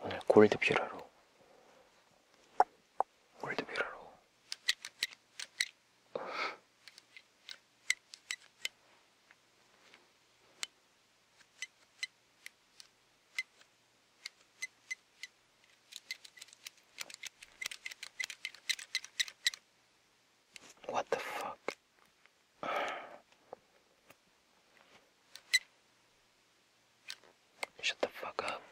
오늘 네, 골드 뷰러로 골드 뷰러로 What the fuck? Shut the fuck up.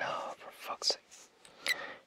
No, for fuck's sake.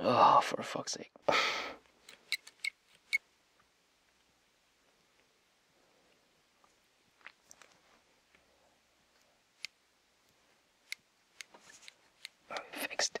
oh, for fuck's sake. Fixed.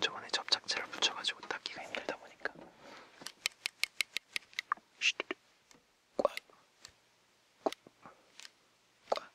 저번에 접착제를 붙여가지고 닦기가 힘들다 보니까 꽉, 꽉, 꽉.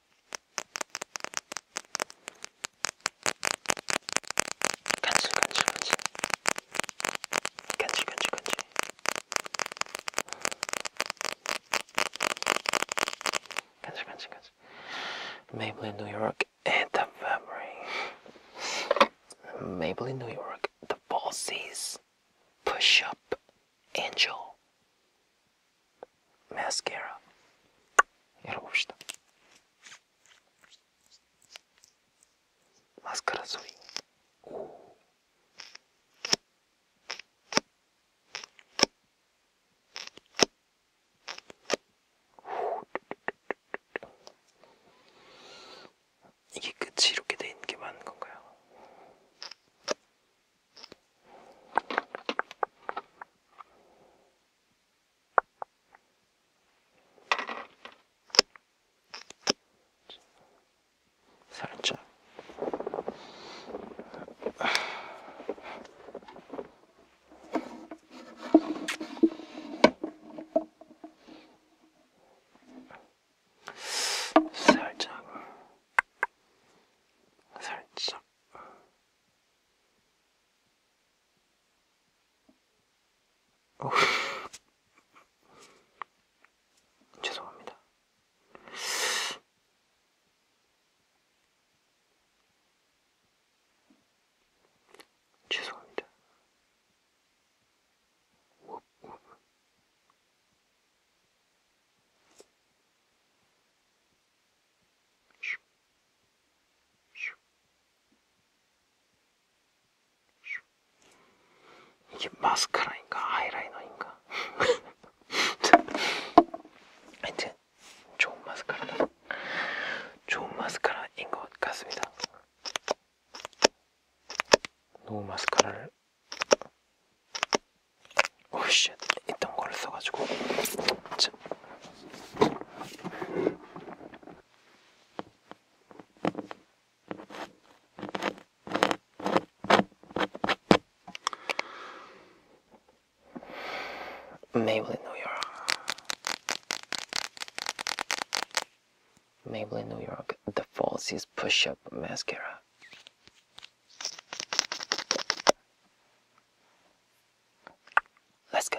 간질간질하지 간질간질간질 간질간질간질 Maybelline New York and the fabric Maybelline New York the bosses push up angel 마스카라 열어봅시다. 마스카라 소리. 오. 이게 끝이 이렇게 돼 있는 게 맞는 건가요? 살짝 살짝 살짝 죄송합니다. 죄송합니다. 이게 마스카라인가 아이라이너인가 하여튼 좋은 마스카라다 좋은 마스카라인 것 같습니다 노우 마스카라를 오씨 있던 거를 써가지고 참 Maybelline, New York. Maybelline, New York. The false is push-up mascara. Let's go.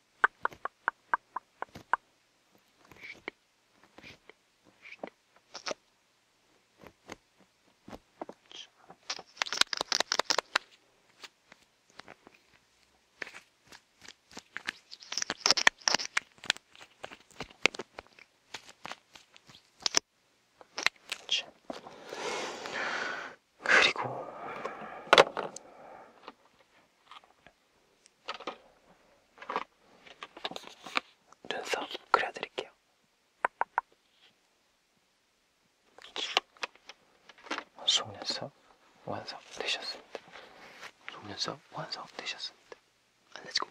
그리고 눈썹 그려드릴게요. 속눈썹 완성 되셨습니다. 속눈썹 완성 되셨습니다. 안녕히 고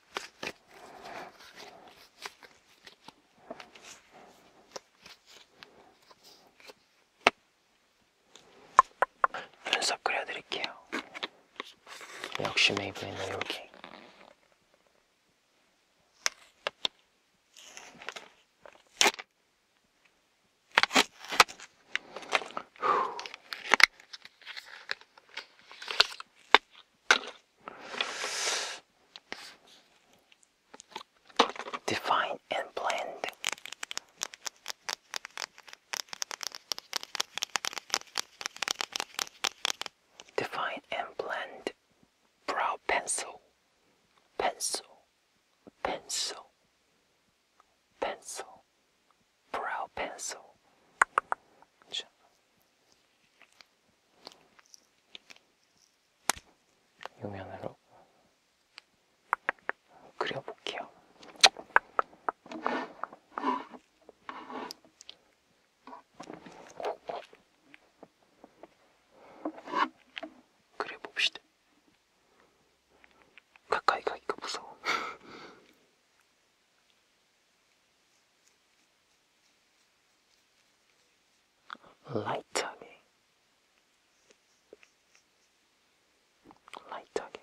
눈썹 그려드릴게요. 역시 메이브에는 여기. 후. Define and blend. Define and blend brow pencil, pencil, pencil, pencil, brow pencil. 유면으로 그려볼게요. 그려봅시다. 가까이 가기가 무서워. 라이트하게 라이트하게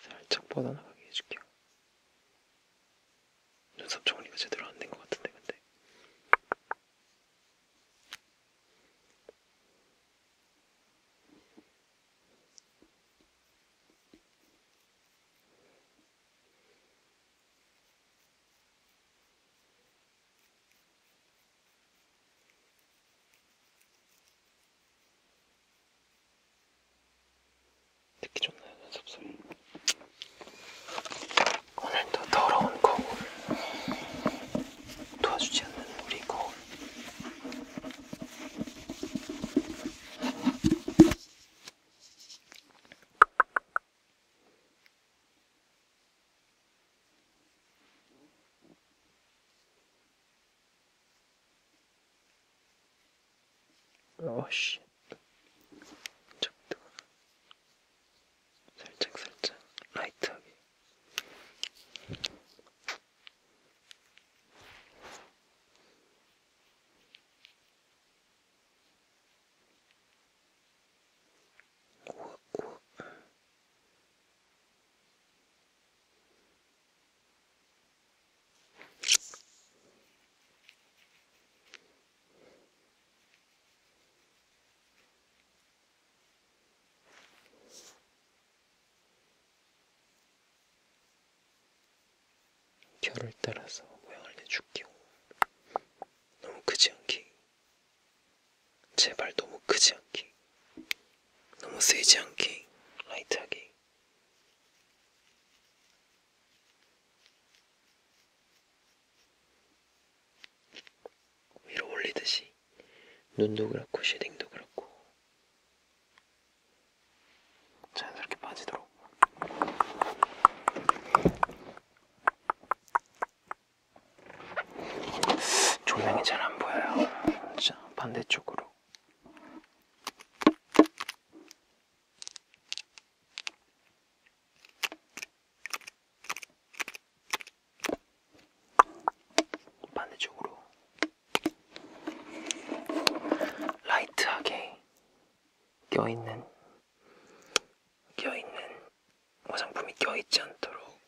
살짝 뻗어나가게 해줄게요 눈썹 정리가 제대로 안 된 것 같은데 근데 듣기 좋나요? 연습소리 오늘도 더러운 거울 도와주지 않는 우리 거울 어씨 적도 살짝 살짝 라이트하게 우와 우와 결을 따라서 모양을 내줄게요. 너무 크지 않게. 제발 너무 크지 않게. 너무 세지 않게. 라이트하게. 위로 올리듯이. 눈도 그렇고 쉐딩도 그렇고 자연스럽게 빠지도록 조명이 잘 안 보여요 자 반대쪽으로 반대쪽으로 라이트하게 껴있는 껴있는 화장품이 껴있지 않도록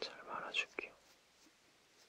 잘 말아줄게요.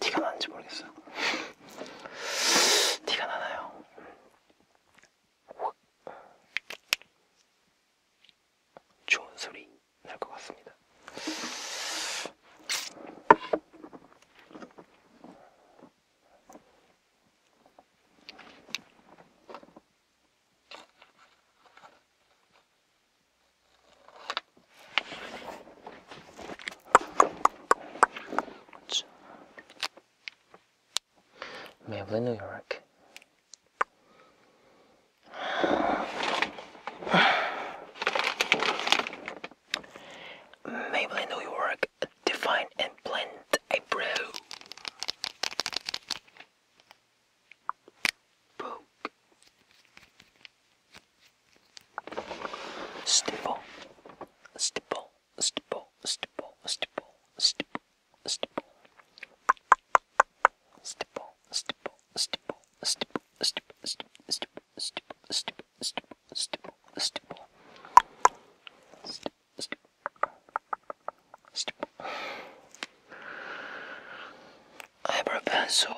티가 나는지 모르겠어요. 티가 나나요? 좋은 소리 날 것 같습니다. What's Mabley, New York. Mabley, New York, define and blend a Poke. Stipple. Stipple. Stipple. Stipple. Stipple. Stipple. Stipple. Stipple. Stipple. Stipple. Stipple. Stipple. Stipple. Stipple. Stipple. Stipple. Stipple. Stipple. Stipple eyebrow pencil.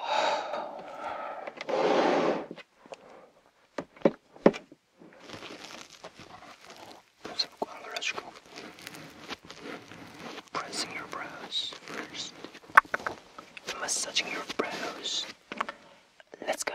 Pressing your brows first. Massaging your brows. Let's go.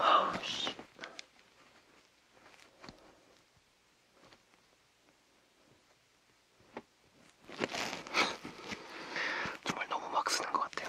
아, 정말 너무 막 쓰는 것 같아요.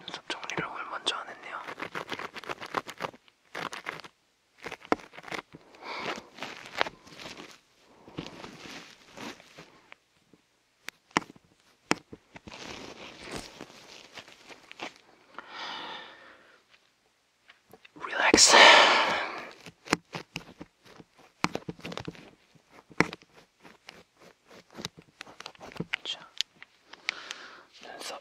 눈썹 정리를 오늘 먼저 안 했네요. Relax. 자, 눈썹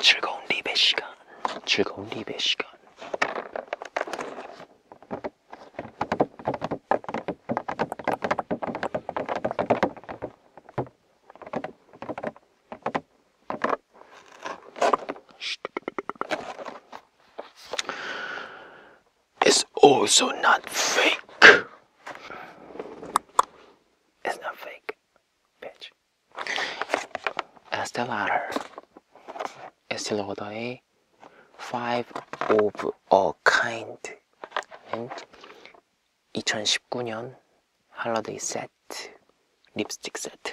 즐거운 리베 시간, 즐거운 리베 시간. It's also not fake. It's not fake, bitch. As the latter is Lord A five of a kind는 2019년 holiday set lipstick set.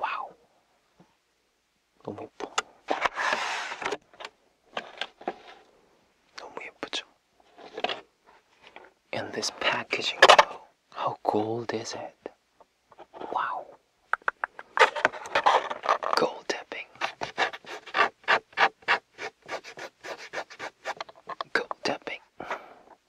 Wow, 너무 예뻐. 너무 예쁘죠? And this packaging, how gold is it? Wow. Gold dipping. Gold tapping.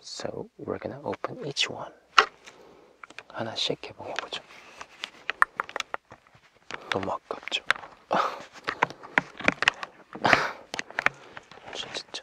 So we're gonna open each one. 하나씩 개봉해 너무 아깝죠. 진짜.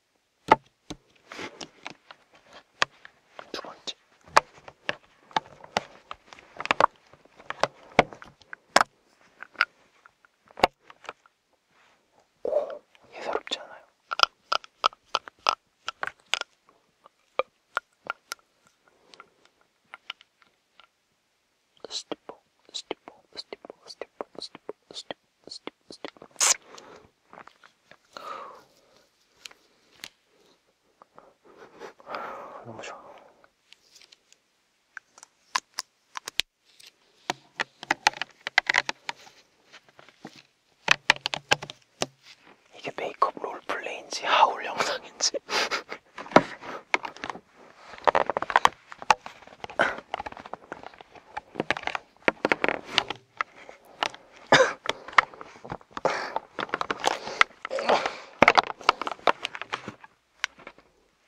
두 번째. 오, 예사롭지 않아요. 스티퍼, 스티퍼, 스티퍼, 스티퍼, 스티퍼, 스티퍼. 너무 좋아. 이게 메이크업 롤플레이인지 하울 영상인지.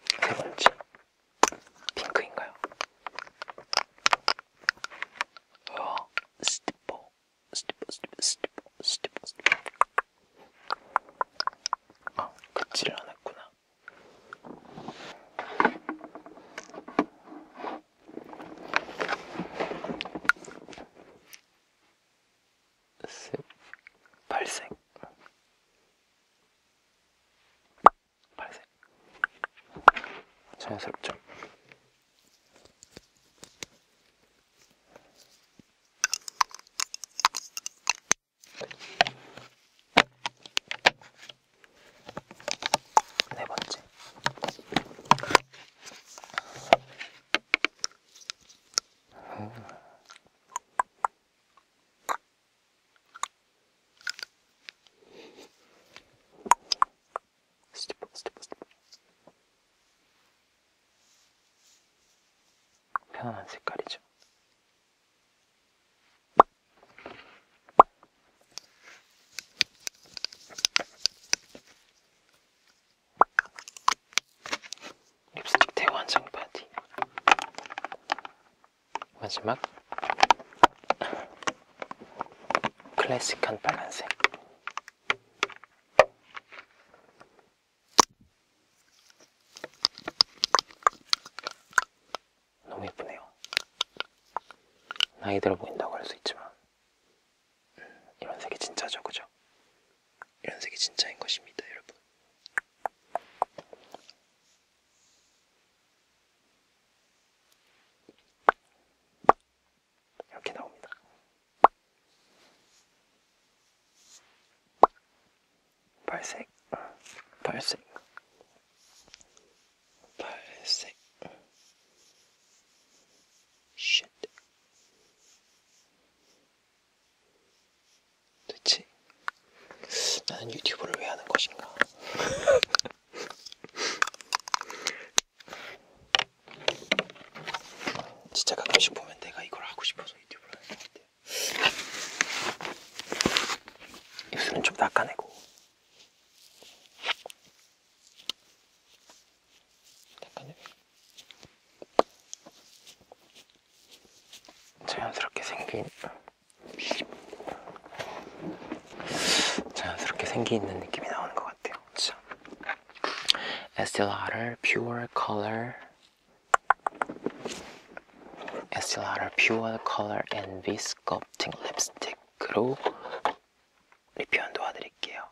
세 번째 핑크인가요? 어, 스티퍼 스티퍼 스티퍼 스티퍼 스티퍼 스티퍼 아, 긋질 않았구나 색, 발색, 발색, 자연스럽죠. 네 번째. 음. 스티프, 스티프, 스티프. 편안한 색깔이죠. 립스틱 대환상 바디 마지막 클래식한 빨간색 너무 예쁘네요 나이 들어 보인다고 할 수 있지만 연색이 진짜죠, 그죠? 연색이 진짜인 것입니다, 여러분. 이렇게 나옵니다. 발색, 발색. 아, 발색 쉣 도대체 나는 유튜브를 왜 하는 것인가 진짜 가끔씩 보면 내가 이걸 하고 싶어서 유튜브를 하는 것 같아요 입술은 좀 닦아내고 자연스럽게 생긴 자연스럽게 생기 있는 느낌이 나오는 것 같아요. 진짜. Pure Color SLR을 Pure Color and Viscoptic Lipstick으로 이 표현 도와드릴게요.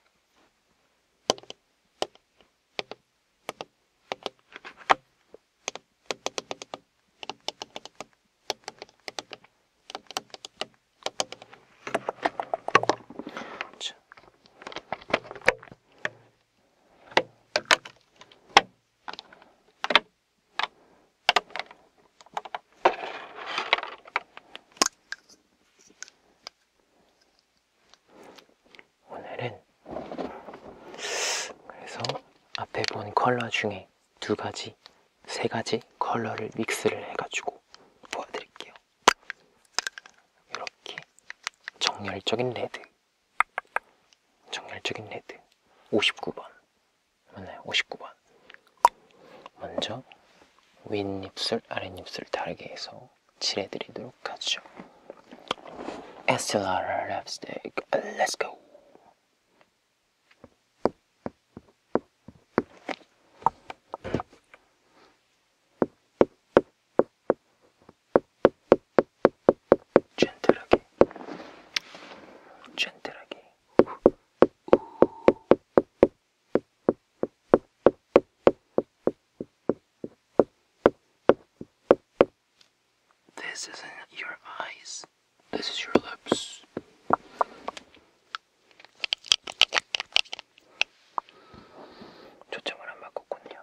오늘은 그래서 앞에 본 컬러 중에 두 가지, 세 가지 컬러를 믹스를 해가지고 보여드릴게요. 이렇게 정열적인 레드, 정열적인 레드 59번 맞나요? 59번 먼저 윗입술, 아랫입술 다르게 해서 칠해드리도록 하죠. 에스텔라라 랩스틱, let's go! 젠틀하게, 젠틀하게, 우, 우, This isn't your eyes. This is your lips. 초점을 안 바꿨군요.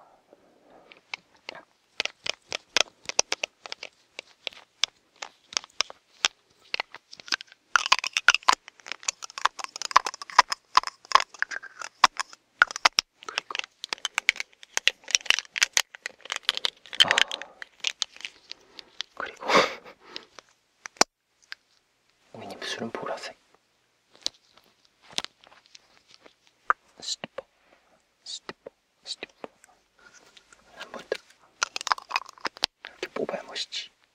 그리고 아 그리고 윗입술은 어, 보라색 스티퍼 스티퍼 스티퍼 한번더 이렇게 뽑아야 멋있지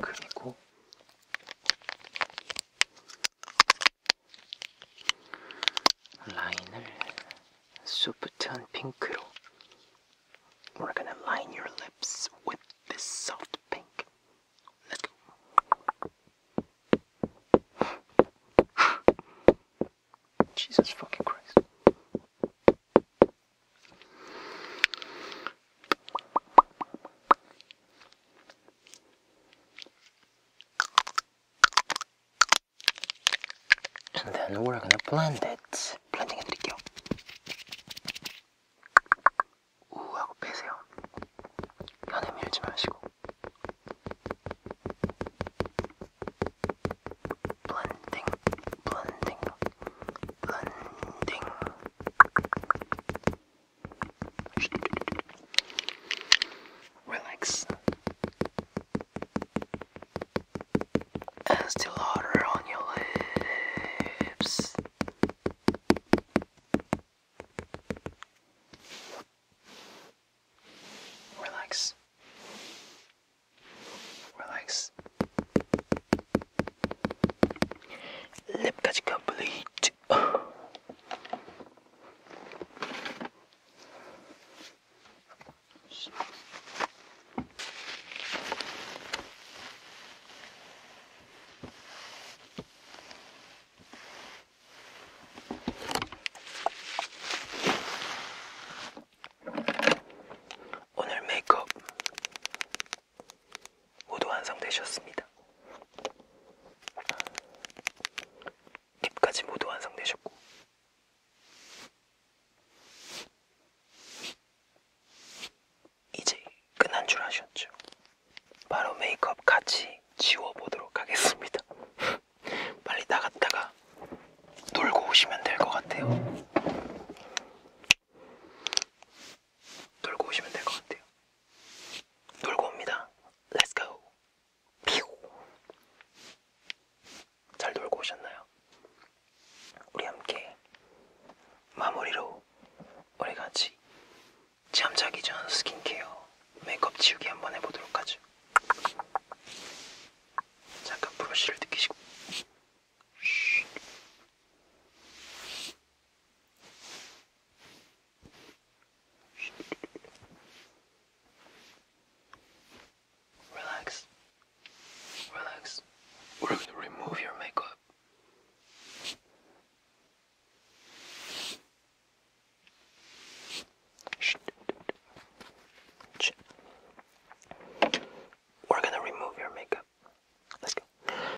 그리고 라인을 소프트한 핑크로 We're gonna line your lips with this soft pink. Let's go. Jesus fucking Christ. And then we're gonna blend it. 블렌딩 해드릴게요. 우하고 빼세요. 안에 밀지 마시고. 블렌딩, 블렌딩, 블렌딩. Relax. And still harder on your lips. Relax. Relax. 랩까지 컴플리트 오늘 메이크업 모두 완성되셨습니다. 립까지 모두 완성되셨고 이제 끝난 줄 아셨죠? 바로 메이크업 같이 지워보도록 하겠습니다. 빨리 나갔다가 놀고 오시면 될 것 같아요. 놀고 오시면 될 것 같아요. 놀고 옵니다. Let's go. 잘 놀고 오셨나요? 우리 함께 마무리로 우리 같이 잠자기 전 스킨케어 메이크업 지우기 한번 해보도록 하죠. 잠깐 브러쉬를 느끼시고. Relax. Relax. We're going to remove your makeup. We're gonna remove your makeup. Let's go.